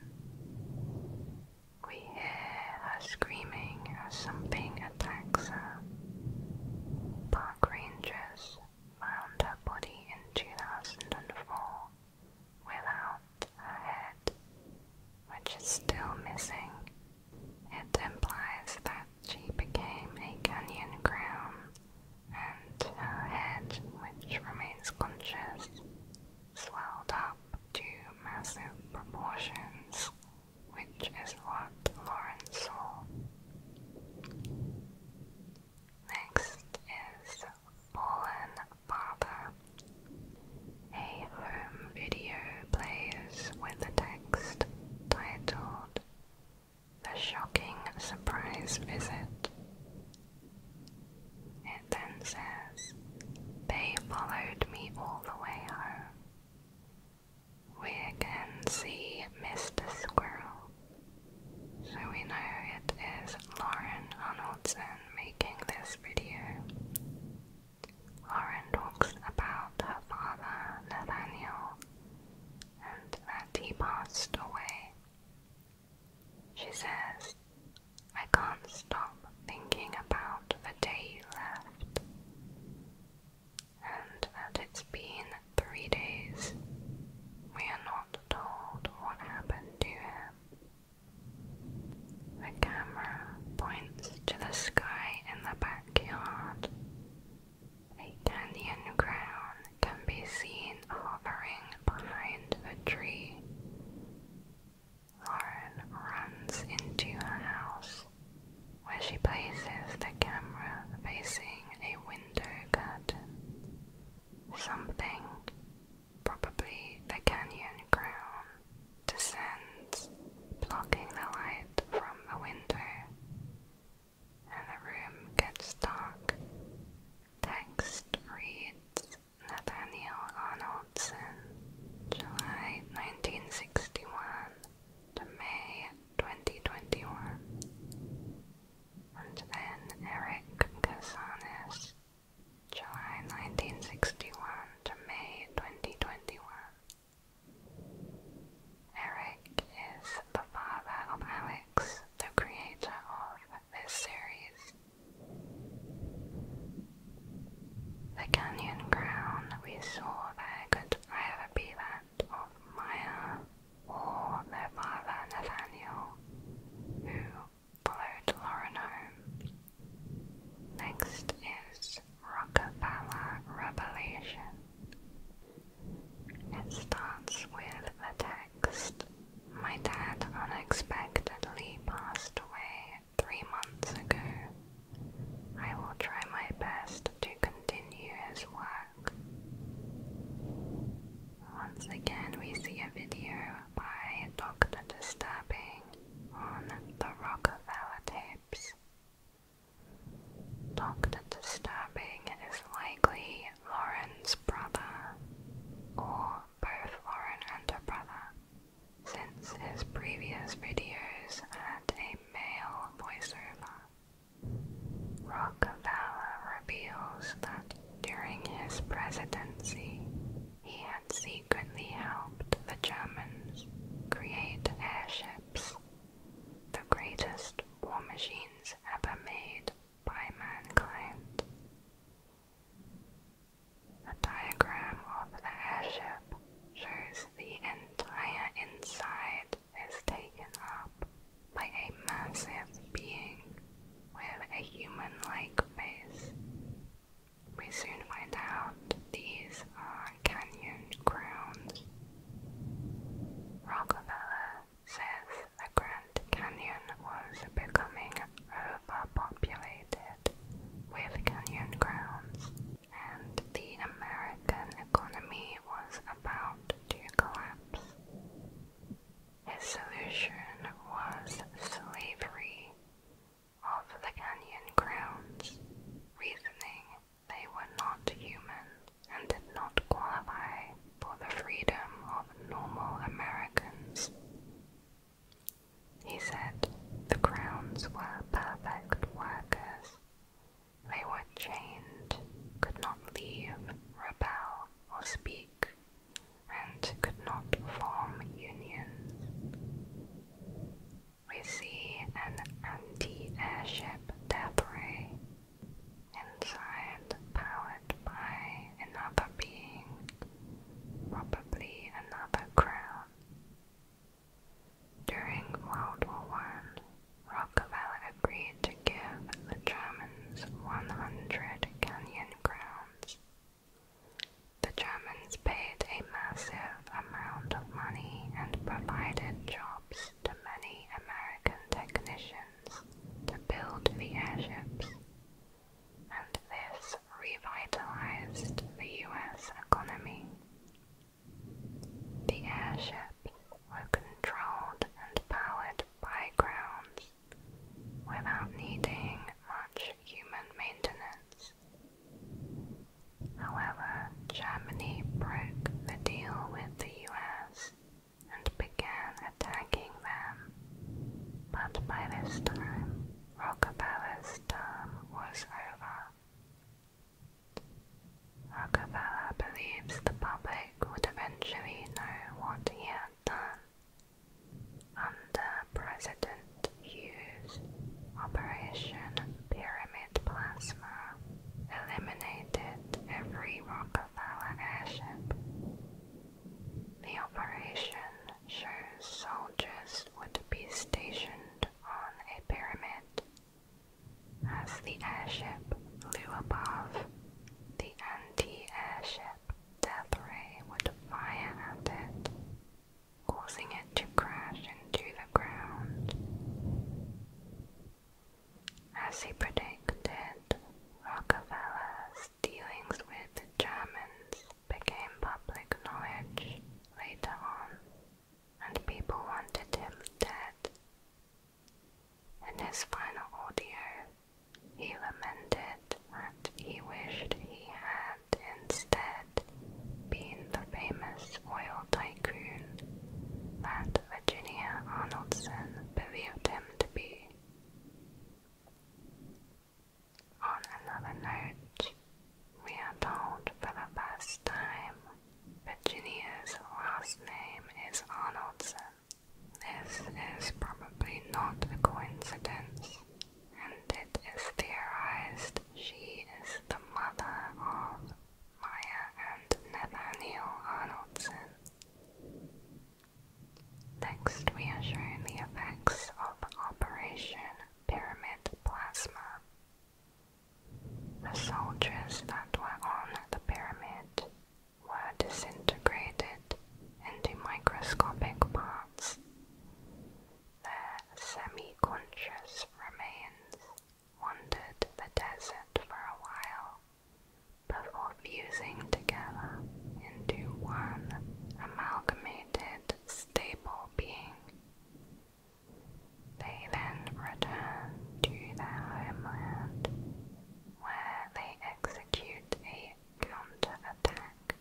We hear her screaming as something attacks her. Park rangers found her body in 2004 without her head, which is still missing it implies that she became a canyon crown and her head, which remains conscious, swelled up to massive proportions, which is what Lawrence saw. Next is Fallen Father a home video plays with the text titled The Shocking Surprise Visit. It then says, They followed me all the way home. We again see Mr. Squirrel, so we know it is Lauren Arnoldson making this video. Lauren talks about her father, Nathaniel, and that he passed away. She says, I can't stop thinking about the day you left, and that it's been three days. We are not told what happened to him. The camera points to the sky in the background. A Dandian crown can be seen hovering behind a tree. Lauren runs into her house, where she places the camera facing a window curtain. Something, probably the canyon crown, descends, blocking the light from the window, and the room gets dark. Text reads Nathaniel Arnoldson, July 1961 to May 2021. And then Eric Casanis, July 1961 to May 2021. Eric is the father of Alex, the creator of this series. The canyon crown we saw there could either be that of Maya or their father Nathaniel, who followed Lauren Next is Rockefeller Revelation. It starts with the text My dad unexpectedly passed away three months ago. I will try my best to continue his work. Once again, we see a video by Dr. Disturbing on the Rockefeller tapes. Doctor Disturbing is likely Lauren's brother, or both Lauren and her brother, since his previous videos had a male voiceover. Rockefeller reveals that during his presidency, he had secretly helped the Germans create airships the greatest war machines ever made by mankind. A diagram of the airship shows the entire inside is taken up by a massive being with a human like face. We soon find out these canyon grounds. Rockefeller says the Grand Canyon was becoming overpopulated with canyon grounds, and the American economy was about to collapse. His solution was slavery of the canyon grounds, reasoning they were not human and did not qualify for the freedom of normal Americans. He said the Crowns were perfect workers. They were chained, could not leave, rebel, or speak, and could not form unions we see an anti-airship debris inside powered by another being, probably another crown. During World War One, Rockefeller agreed to give the Germans 100 canyon crowns. The Germans paid a massive amount of money and provided jobs to many American technicians to build the airships, and this revitalized the US economy. The airships were controlled and powered by ground, without needing much human maintenance. However, Germany broke the deal with the US and began attacking them. But by this time, Rockefeller's term was over. Rockefeller believes the public would eventually know what he had done. Under President Hughes, Operation Pyramid plasma eliminated every Rockefeller airship. The operation shows soldiers would be stationed on a pyramid. As the airship flew above, the anti-airship death ray would fire at it, causing it to crash into the ground. As he predicted, Rockefeller's dealings with the Germans became public knowledge later on, and people wanted him dead. In his final audio, he lamented that he wished he had instead been the famous oil tycoon that Virginia Arnoldson believed him to be. On another note, we are told for the first time Virginia's last name is Arnoldson. This is probably not a coincidence, and it is theorized she is the mother of Maya and Nathaniel Arnoldson. Next, we are shown the effects of Operation Pyramid Plasma. The soldiers that were on the pyramid were disintegrated into microscopic parts. Their semi conscious remains wandered the desert for a while before fusing together into one amalgamated stable being. They then return to their homeland, where they execute a counterattack.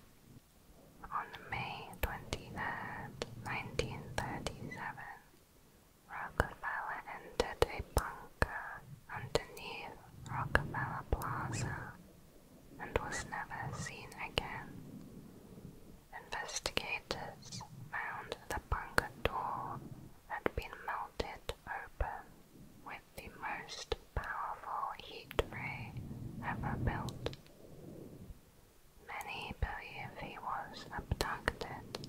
On May 23, 1937, Rockefeller entered a bunker underneath Rockefeller Plaza and was never seen again. Investigators found the bunker door had been melted open with the most powerful heat ray ever built. Many believe he was abducted.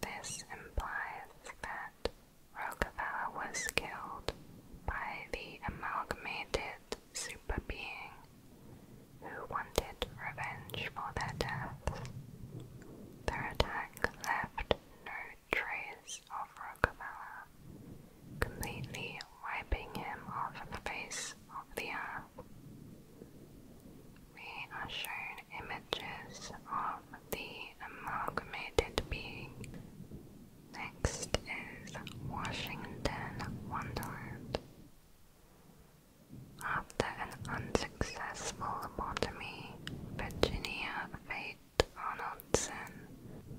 This implies that Rockefeller was killed by the amalgamated superbeing who wanted revenge for their deaths. Their attack left no trace of Rockefeller, completely wiping him off the face of the earth. We are shown images of the amalgamated being. Next is Washington Wonderland. After an unsuccessful lobotomy, Virginia Fate Arnoldson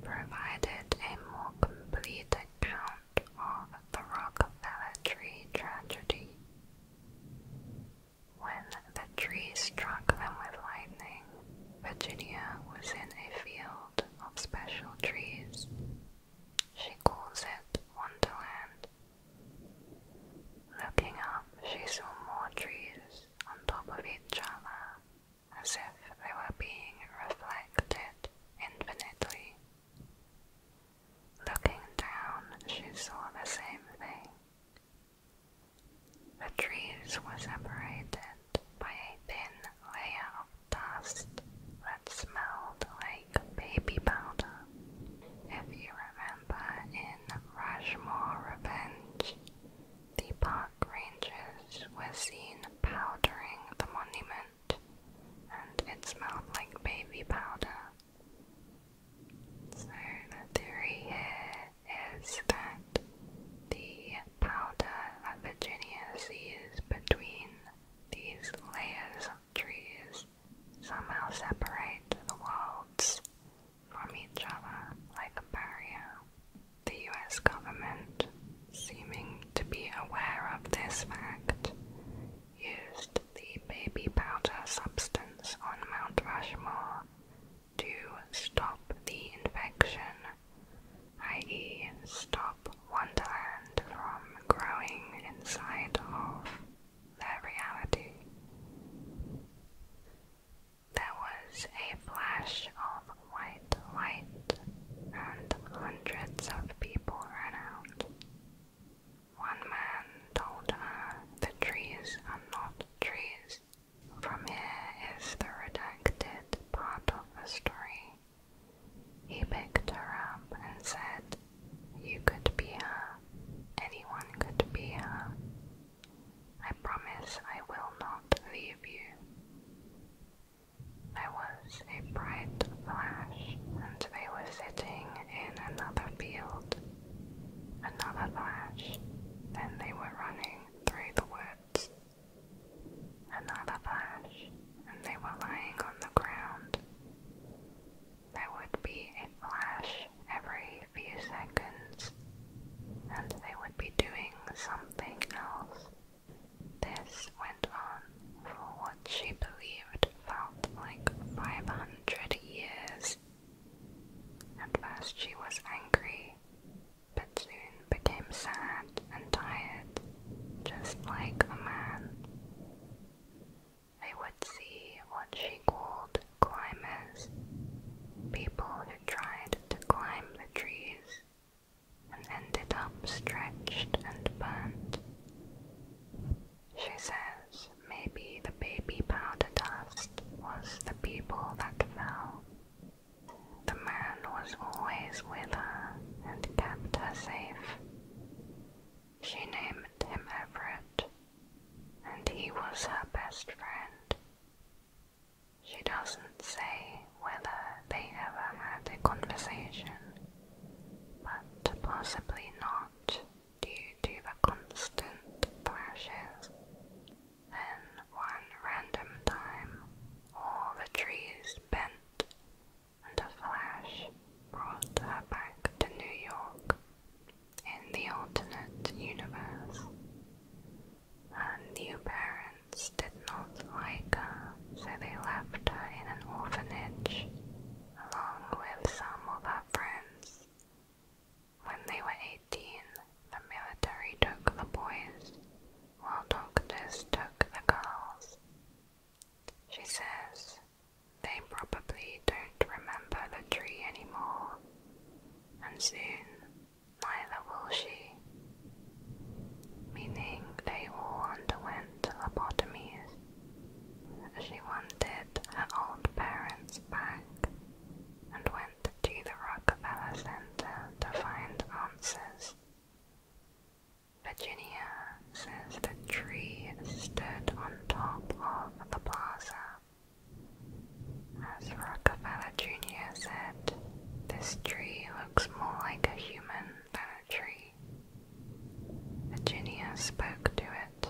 provided a more complete account of the Rockefeller tree tragedy. When the tree struck them with lightning, Virginia was in a field of special trees. She calls it Wonderland. Looking up, she saw more trees on top of each other, as if they were being reflected infinitely. Looking down, she saw the same thing. The trees were separated by a thin layer of dust that smelled like baby powder. If you remember in Rushmore Revenge, the park rangers were seen powdering the monument and it smelled like baby powder. So the theory here is that the powder that Virginia sees between these layers of trees somehow separate the worlds from each other like a barrier. The US government, seeming to be aware of this fact, used the baby powder substance on Mount Rushmore to stop the infection, i.e., stop Wonderland from growing inside of their reality. There was a flash of white light, and hundreds of people ran out. One man told her, The trees are not trees. From here is the redacted part of the story. He picked her up and said, You could be her. Anyone could be her. I promise I will not leave you. I was a bright flash, and they were sitting in another field. Another flash, then they were running through the woods. Another flash, and they were lying on the ground. There would be a flash every few seconds, and they would be doing something else. This for what she believed felt like 500 years. At first she was angry, but soon became sad and tired, just like a man. They would see what she called climbers, people who tried to climb the trees and ended up stretched and burnt. She says maybe the baby powder dust was the people that fell. The man was always with her and kept her safe. She named him Everett, and he was her best friend. She doesn't say whether they ever had a conversation but possibly not due to the constant thrashes. Then one random time all the trees bent and a flash brought her back to New York in the alternate universe. Her new parents did not like her, so they left her in an orphanage along with some of her friends. When they were 18, the military took the boys, while doctors took the girls. She says, they probably don't remember the tree anymore, and soon neither will she. Meaning they all underwent lobotomies. She wanted her old parents back and went to the Rockefeller Center to find answers. Virginia says the tree stood on top of the plaza. As Rockefeller Jr. said, this tree looks more like a human territory. Virginia spoke to it.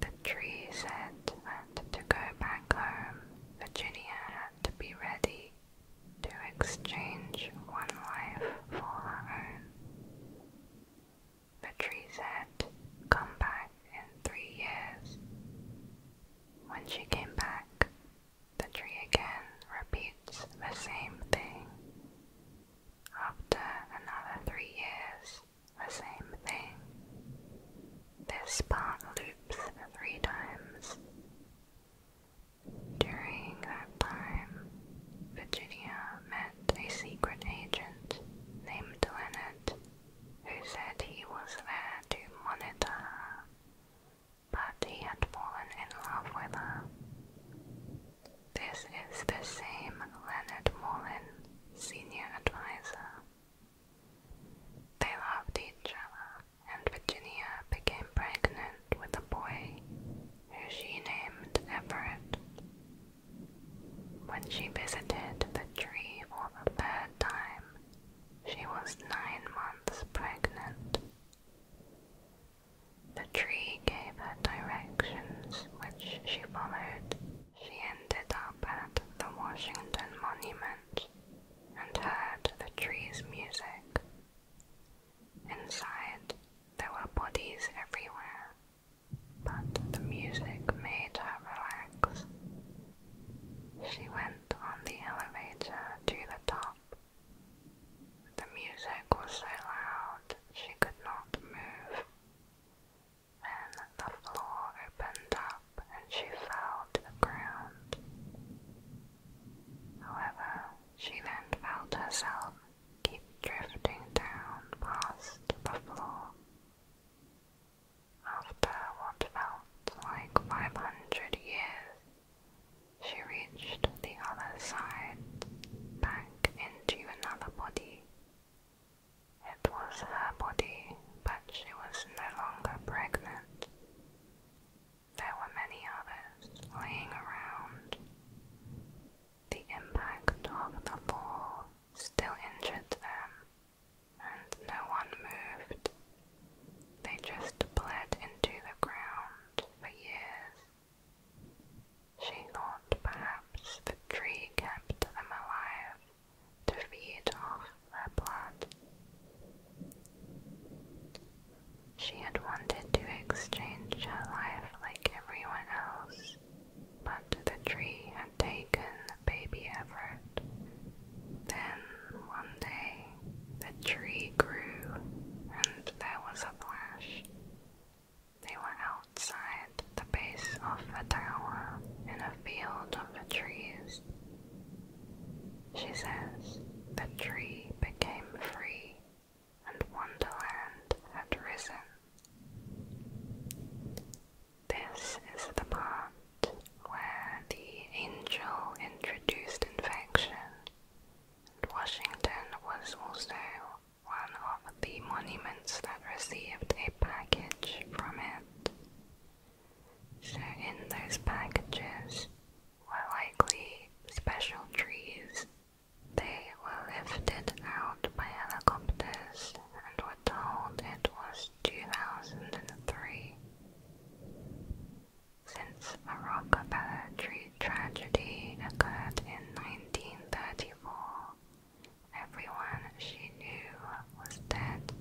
The tree said that to go back home, Virginia had to be ready to exchange one life for her own. The tree said, Come back in three years. When she came back, the tree again repeats the same thing after another three years, the same thing. This part loops three times. During that time, Virginia met a secret agent named Leonard, who said he was there to monitor her, but he had fallen in love with her. This is the same Leonard Mullen, senior advisor. They loved each other, and Virginia became pregnant with a boy who she named Everett. When she visited the tree for the third time, she was nine months pregnant. The tree gave her directions, which she followed. She ended up at the Washington Monument and heard the tree's music. Inside, there were bodies everywhere, but the music made her relax. She went on the elevator to the top the music was so loud she could not move. Then the floor opened up and she fell to the ground. However, she then felt herself keep drifting down past the floor. After what felt like 500 years, she reached the other side, back into another body. It was her body, but she was no longer pregnant. There were many others lying around. The impact of the fall still injured them, and no one moved. They just bled into the ground for years she thought perhaps the tree kept them alive to feed off their blood. She had wanted to exchange her life like everyone else, but the tree had taken baby Everett. Then one day the tree grew and there was a flash. They were outside the base of the tower in a field of trees. She says the tree became free and Wonderland had risen. This is the part where the angel introduced infection, and Washington was also one of the monuments that received a package from it. So, in those packages were likely special trees. They were lifted out by helicopters and were told it was 2003. Since a Rockefeller tree tragedy occurred in 1934. Everyone she knew was dead.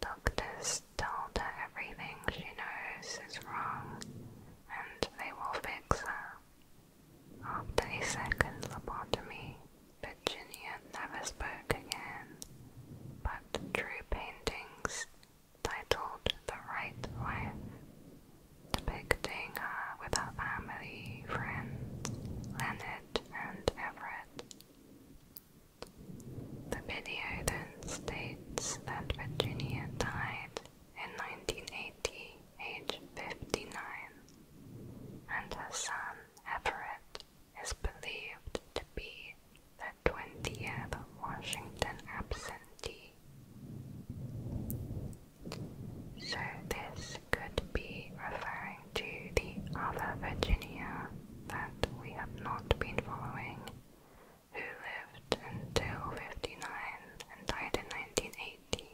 Doctors told her everything she knows is wrong and they will fix her. After a second lobotomy, Virginia never spoke again, but drew paintings titled The Right Life depicting her uh, with her family, friends, Leonard and Everett. The video then states that Virginia died in 1980, age 59, and her son, Everett, is believed to be the 20th Washington absentee so this could be referring to the other Virginia that we have not been following, who lived until 59 and died in 1980.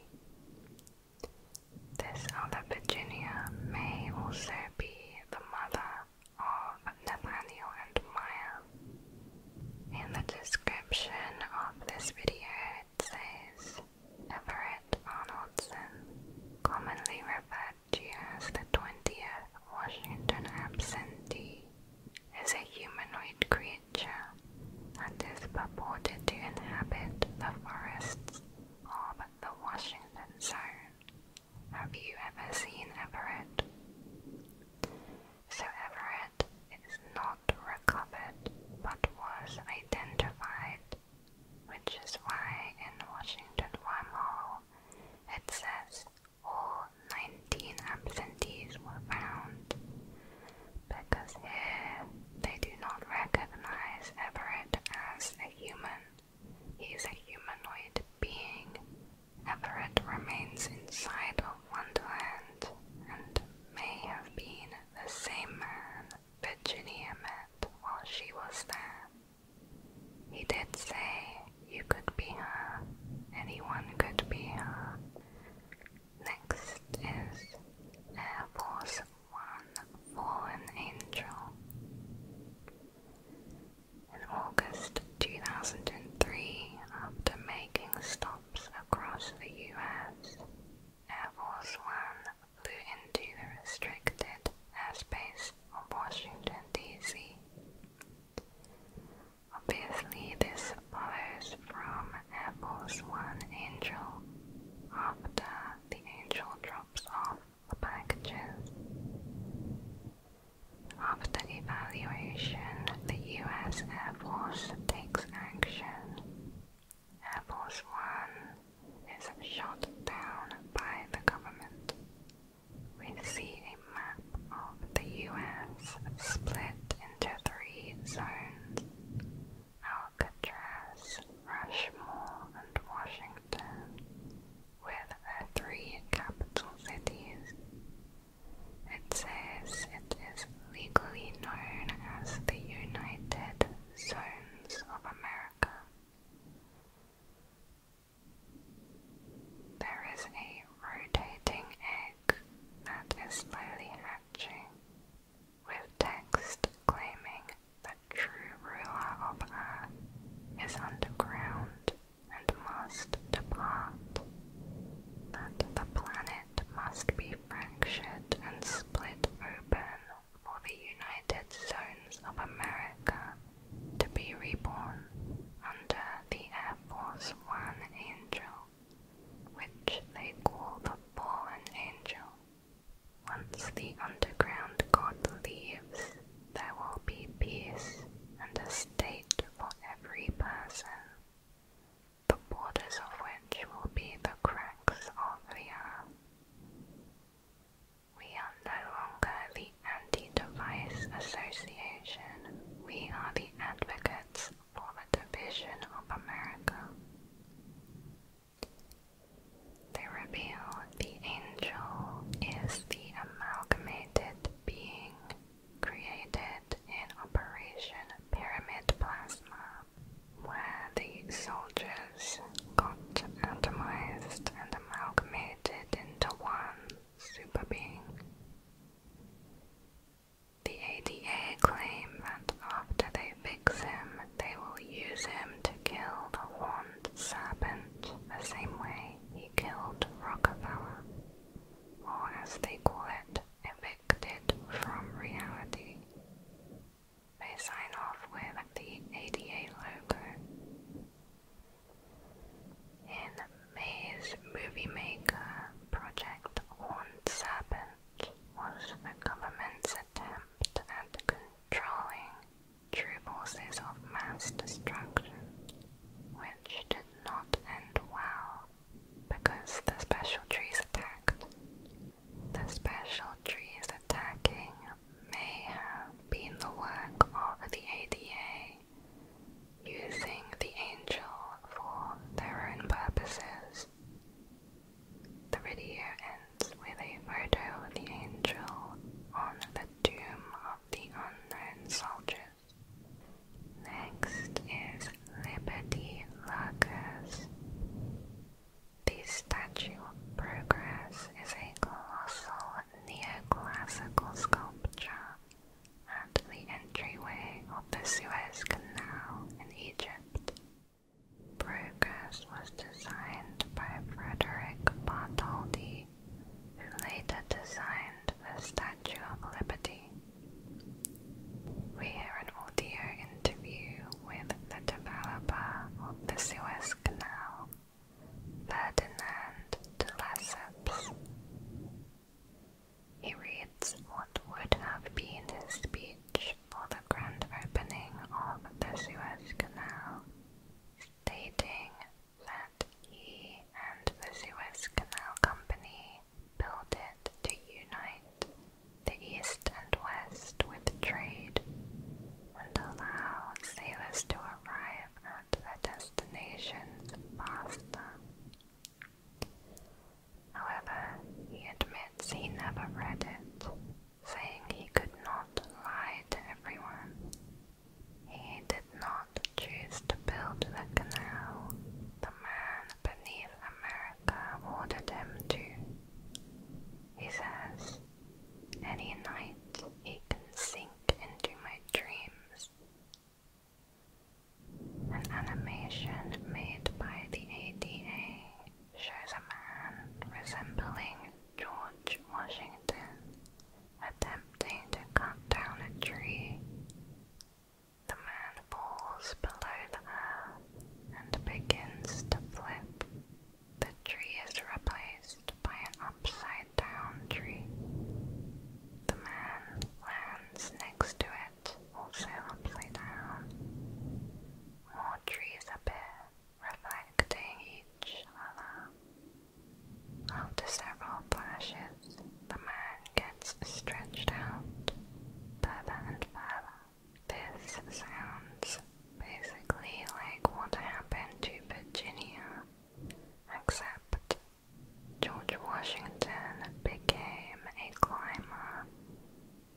This other Virginia may also be the mother of Nathaniel and Maya. In the description of this video, it says Everett Arnoldson, commonly referred to as the 20th Washington absentee, is a humanoid creature and is purported to inhabit the forests of the Washington Zone. Have you ever seen Everett? So, Everett that is not recovered but was identified, which is why in Washington wormhole it says all 19 absentees were found, because here they do not recognize Everett as a human. He is a humanoid being. Everett remains inside of Wonderland and may have been the same man Virginia met while she was there. He did say you could be her, anyone could be her. Next is Air Force One Fallen Angel. In August 2003, after making stops across the US, Air Force One flew into the restricted airspace of Washington, D.C. Obviously, this follows from Air Force One Angel after the Angel drops off the packages. After evaluation, the U.S. Air Force takes action Apple's One is shot down by the government. We see a map of the US split into three zones Alcatraz, Rushmore, and Washington, with their three capital cities. It says it is legally known as the United Zones of America. There is a rotating egg that is slowly hatching, with text claiming the true ruler of Earth is underground and must depart, that the planet must be fractured and split open for the United Zones of America to be reborn under the Air Force One Angel, which they call the Fallen Angel. Once the underground god leaves, there will be peace and a state for every person the borders of which will be the cracks of the earth. We are no longer the anti-device association, we are the advocates for the division of America. They reveal the angel is the amalgamated being created in operation pyramid plasma, where the soldiers got atomized and amalgamated into one super The ADA claim that after they fix him, they will use him to kill the horned serpent the same way he killed Rockefeller, or as they call it, evicted from reality. They sign off with the ADA logo. In May's Movie Maker, Project Horned Serpent was the government's attempt at controlling true forces of mass destruction, which did not end well because the special trees attacked the special trees attacking may have been the work of the ADA, using the angel for their own purposes. The video ends with a photo of the angel on the tomb of the unknown soldiers. Next is Liberty Lurkers. The Statue of Progress is a colossal neoclassical sculpture at the entryway of the Suez Canal in Egypt. Progress was designed by Frederick Bartholdi, who later designed the Statue of Liberty. We hear an audio interview with the developer of the Suez Canal, Ferdinand de Lesseps. He reads what would have been his speech for the grand opening of the Suez Canal, stating that he and the Suez Canal Company built it to unite the east and west with trade and allow sailors to arrive at their destinations faster. However, he admits he never read it, saying he could not lie to everyone. He did not choose to build the canal. The man beneath America ordered him to. He says, Any night he can sink into my dreams. An animation made by the ADA shows a man resembling George Washington attempting to cut down a tree. The man falls below the earth and begins to flip, the tree is replaced by an upside down tree. The man lands next to it, also upside down. More trees appear, reflecting each other. After several flashes, the man gets stretched out further and further this sounds basically like what happened to Virginia, except George Washington became a climber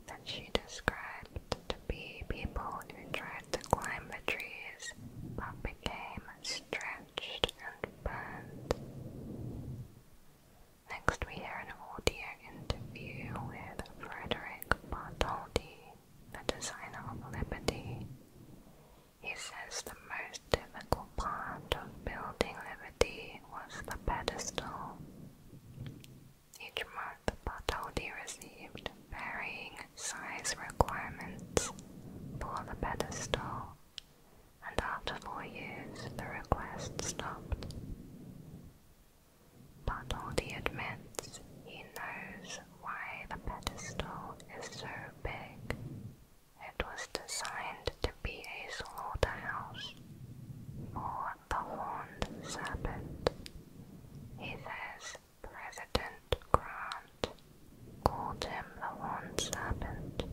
that she described to be people who tried to climb the trees but became stretched and burned. Next, we hear an audio interview with Frederick Bartoldi, the designer of Liberty. He says the most difficult part of building Liberty was the pedestal. Each month, Bartoldi received varying size requirements for the pedestal, and after four years, the request stopped. But the admits he knows why the pedestal is so big. It was designed to be a slaughterhouse for the horned serpent. He says President Grant called him the horned serpent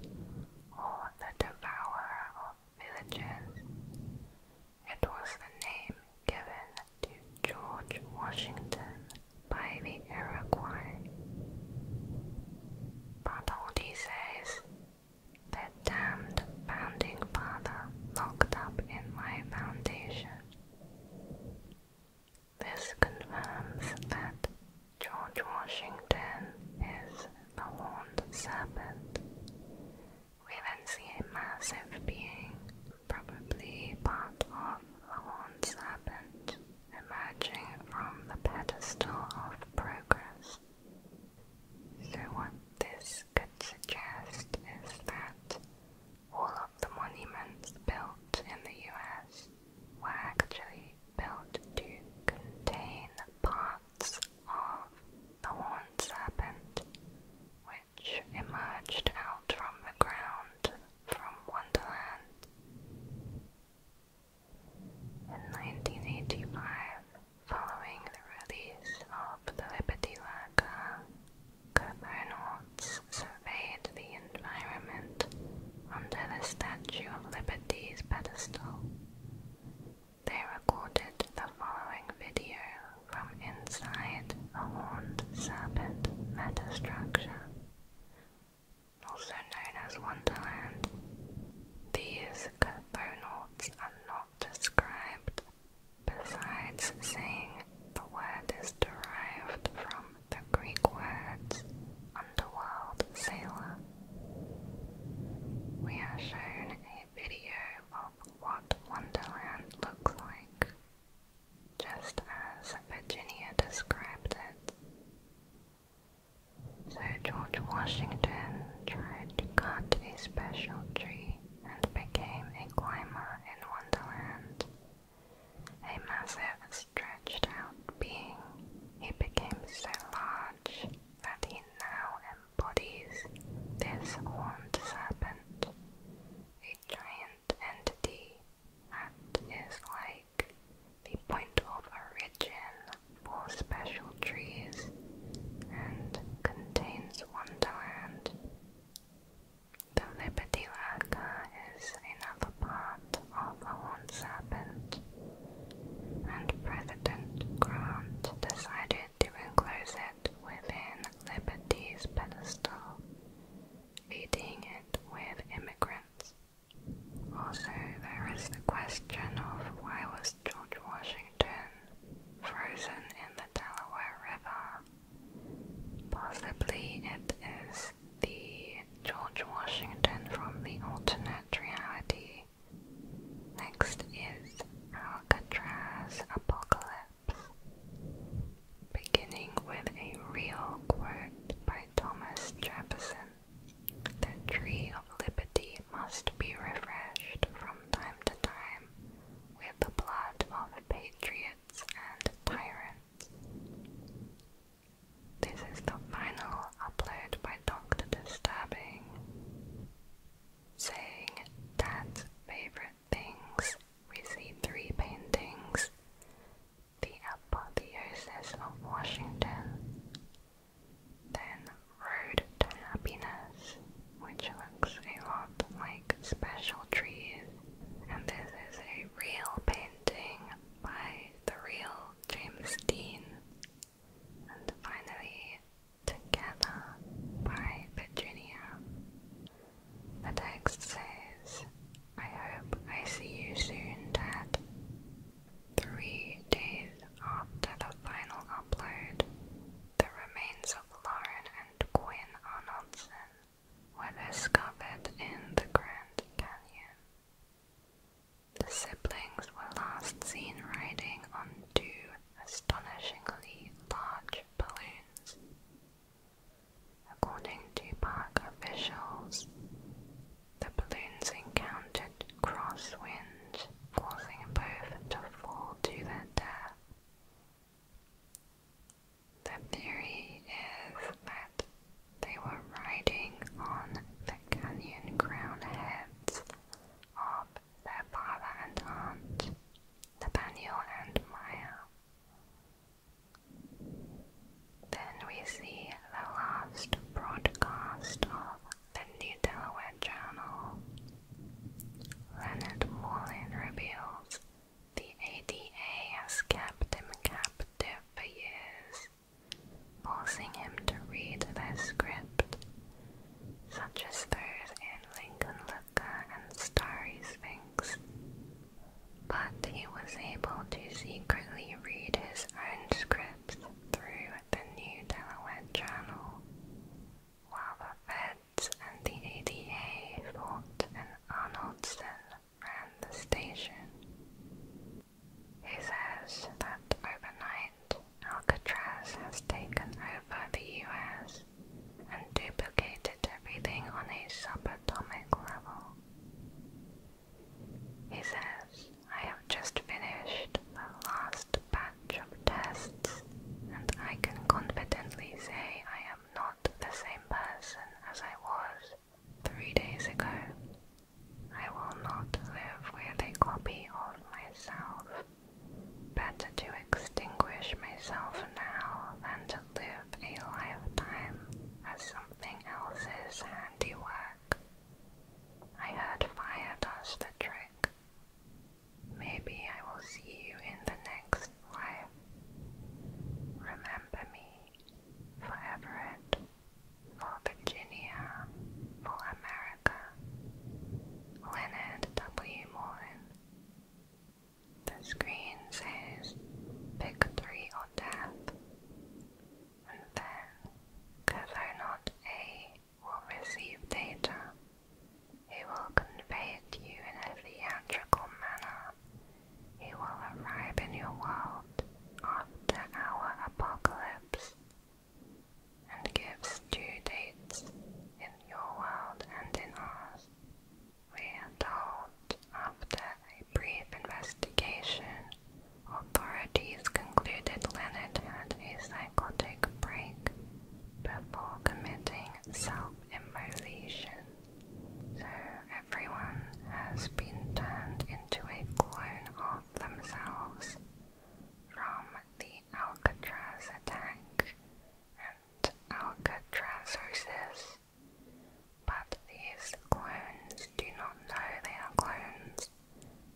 or the devourer of villages. It was the name given to George Washington by the Iroquois. Bartholdi says, that damned founding father locked up in my foundation. This confirms that George Washington is the horned serpent we then see a massive being, probably part of the horned serpent, emerging from the pedestal of progress. So, what this could suggest is that all of the monuments built in the US were actually built to contain parts of the ones serpent, which emerged out from the ground from Wonderland. In 1985, following the release of the Liberty Lurker, cosmonauts surveyed the environment under the Statue of Liberty's pedestal they recorded the following video from inside a horned serpent metastructure, also known as Wonderland. These cosmonauts are not described, besides saying the word is derived from the Greek words underworld sailor. We are shown video of what Wonderland looks like, just as Virginia described it. So George Washington tried to cut a special tree and became a climber in Wonderland. A massive, stretched out being, he became so large that he now bodies, this horned serpent, a giant entity is like the point of origin for special trees and contains Wonderland. The Liberty Lurker is another part of the Horned Serpent, and President Grant decided different closet within Liberty's pedestal, leading it with immigrants. Also, there is the question of why was George Washington frozen in the Delaware River? Possibly it is the George Washington from the alternate reality. Next is Alcatraz Apocalypse beginning with a real quote by Thomas Jefferson. The tree of liberty must be refreshed from time to time with the blood of patriots and tyrants. This is the final upload by Dr. Disturbing, saying Dad's favorite things, we see three paintings the apotheosis of Washington, then Road to Happiness, which looks a lot like Special Trees, and this is a real painting by the real James Dean. And finally, Together by Virginia. The text says, I hope I see you soon, Dad. Three days after the final upload, the remains of Lauren and Quinn Arnoldson were discovered in the Grand Canyon. The siblings were last seen riding on two astonishingly large balloons. According to park officials, the balloons encountered crosswind, forcing both to fall to their death. The theory is that they were riding on the canyon crown heads of their father and aunt Nathaniel and Maya. Um, then we see the last broadcast of the New Delaware channel. Leonard Morlin reveals the ADA has kept him captive for years, forcing him to read the script such as those in Lincoln Looker and Starry Sphinx. But he was able to secretly read his own scripts through the New Delaware Channel, while the feds and the ADA fought in Arnoldson ran the station. He says that overnight Alcatraz has taken over the US and duplicated everything on a subatomic level. He says, I have just finished the last batch of tests, and I can confidently say I am not the same person as I was three days ago. I will not live with a copy of myself. Better to extinguish myself now than to live a lifetime as something else's handiwork. I heard fire does the trick. Maybe I will see you in the next life. Remember me for Everett, for Virginia, for America. Leonard W. Morin. The screen says pick three or tap, and then not A will receive data. He will convey it to you in a theatrical manner. He will arrive in your world after our apocalypse and gives due dates in your world and in ours. We adult after a brief investigation, authorities concluded Leonard had a psychotic break before committing self-immolation. So everyone has been turned into a clone of themselves from the Alcatraz attack our But these clones do not know they are clones,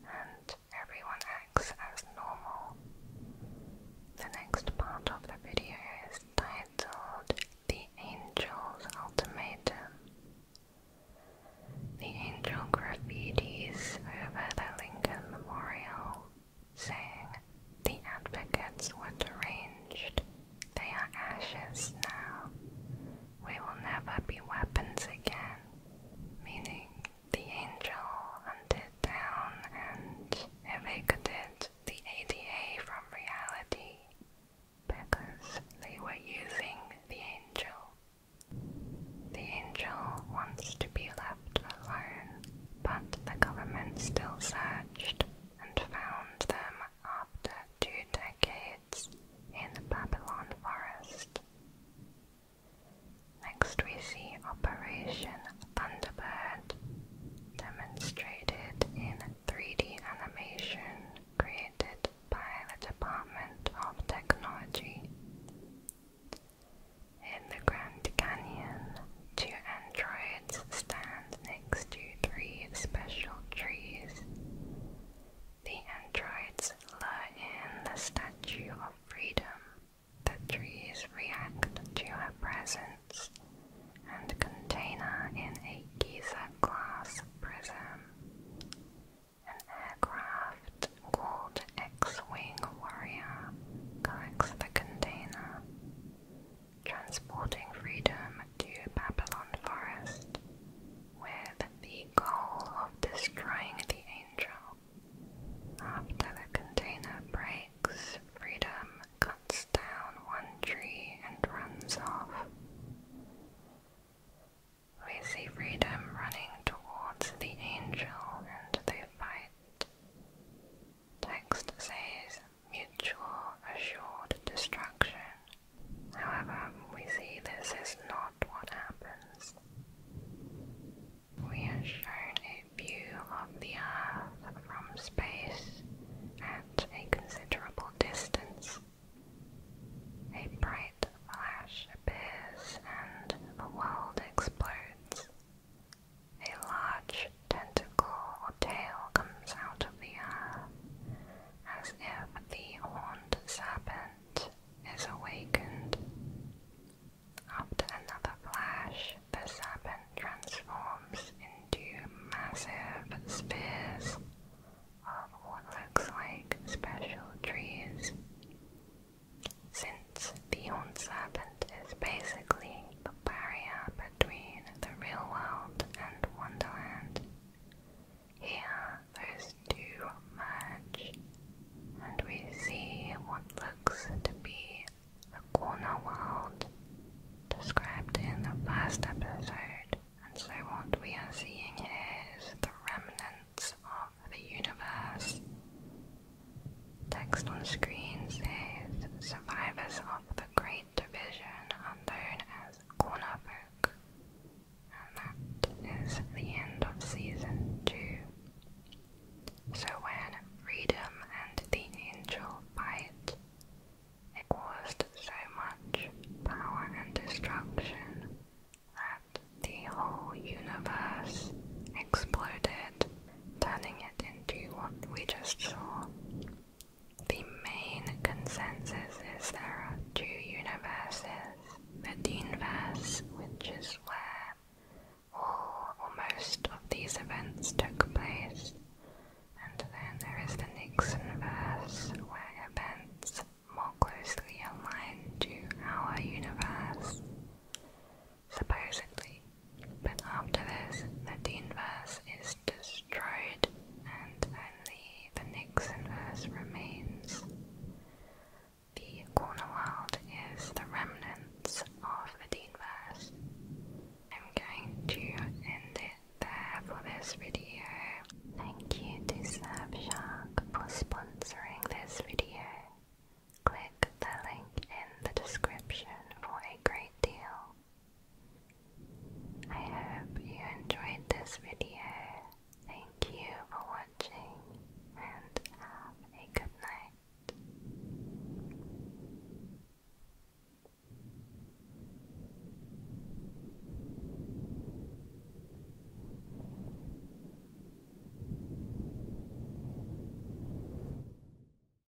and everyone acts as normal. The next part of the video is titled The Angel's Ultimatum. The angel graffitis over the Lincoln Memorial saying, The advocates were deranged. They are ashes now. We will never be weapons again. Meaning, the angel hunted down and evicted the ADA from reality because they were using the angel. The angel wants to be left alone, but the government still searched and found them after two decades in the Babylon forest. Next we see Operation Thunderbird, demonstrated in 3D animation created by the Department of Technology. In the Grand Canyon, two androids stand next to three special trees. The androids lie in the Statue of Freedom. The trees react to her presence and contain her in a Giza glass prism. An aircraft called X-Wing Warrior collects the container transporting freedom to Babylon Forest with the goal of destroying the angel. After the container breaks, freedom cuts down one tree and runs off. We see freedom running towards the angel and they fight. Text says mutual assured destruction. However, we see this is not what happens. We are shown a view of the Earth from space at a considerable distance. A bright flash appears and the world explodes. A large tentacle or tail comes out of the earth, as if the horned serpent is awakened. After another flash, the serpent transforms into massive spears of what looks like special trees. Since the horned serpent it is basically the barrier between the real world and Wonderland. Here, those two merge, and we see what looks to be a corner world described in the first episode. And so, what we are seeing is the remnants of the universe Text on screen says survivors of the Great Division are known as Corner Folk. And that is the end of season two. So when Freedom and the Angel fight, it caused so much power and destruction that the whole universe exploded turning it into what we just saw. The main consensus is there are two universes, the universe, which is where all or most of these events took place, and then there is the universe, where events more closely align to our universe supposedly. But after this, the Dean is destroyed and only the Nixon verse remains. The Cornwald is the remnants of the Dean verse. I'm going to end it there for this video. Thank you to Surfshark for sponsoring this video. Click the link in the description for a great deal I hope you enjoyed this video. Thank you for watching and have a good night.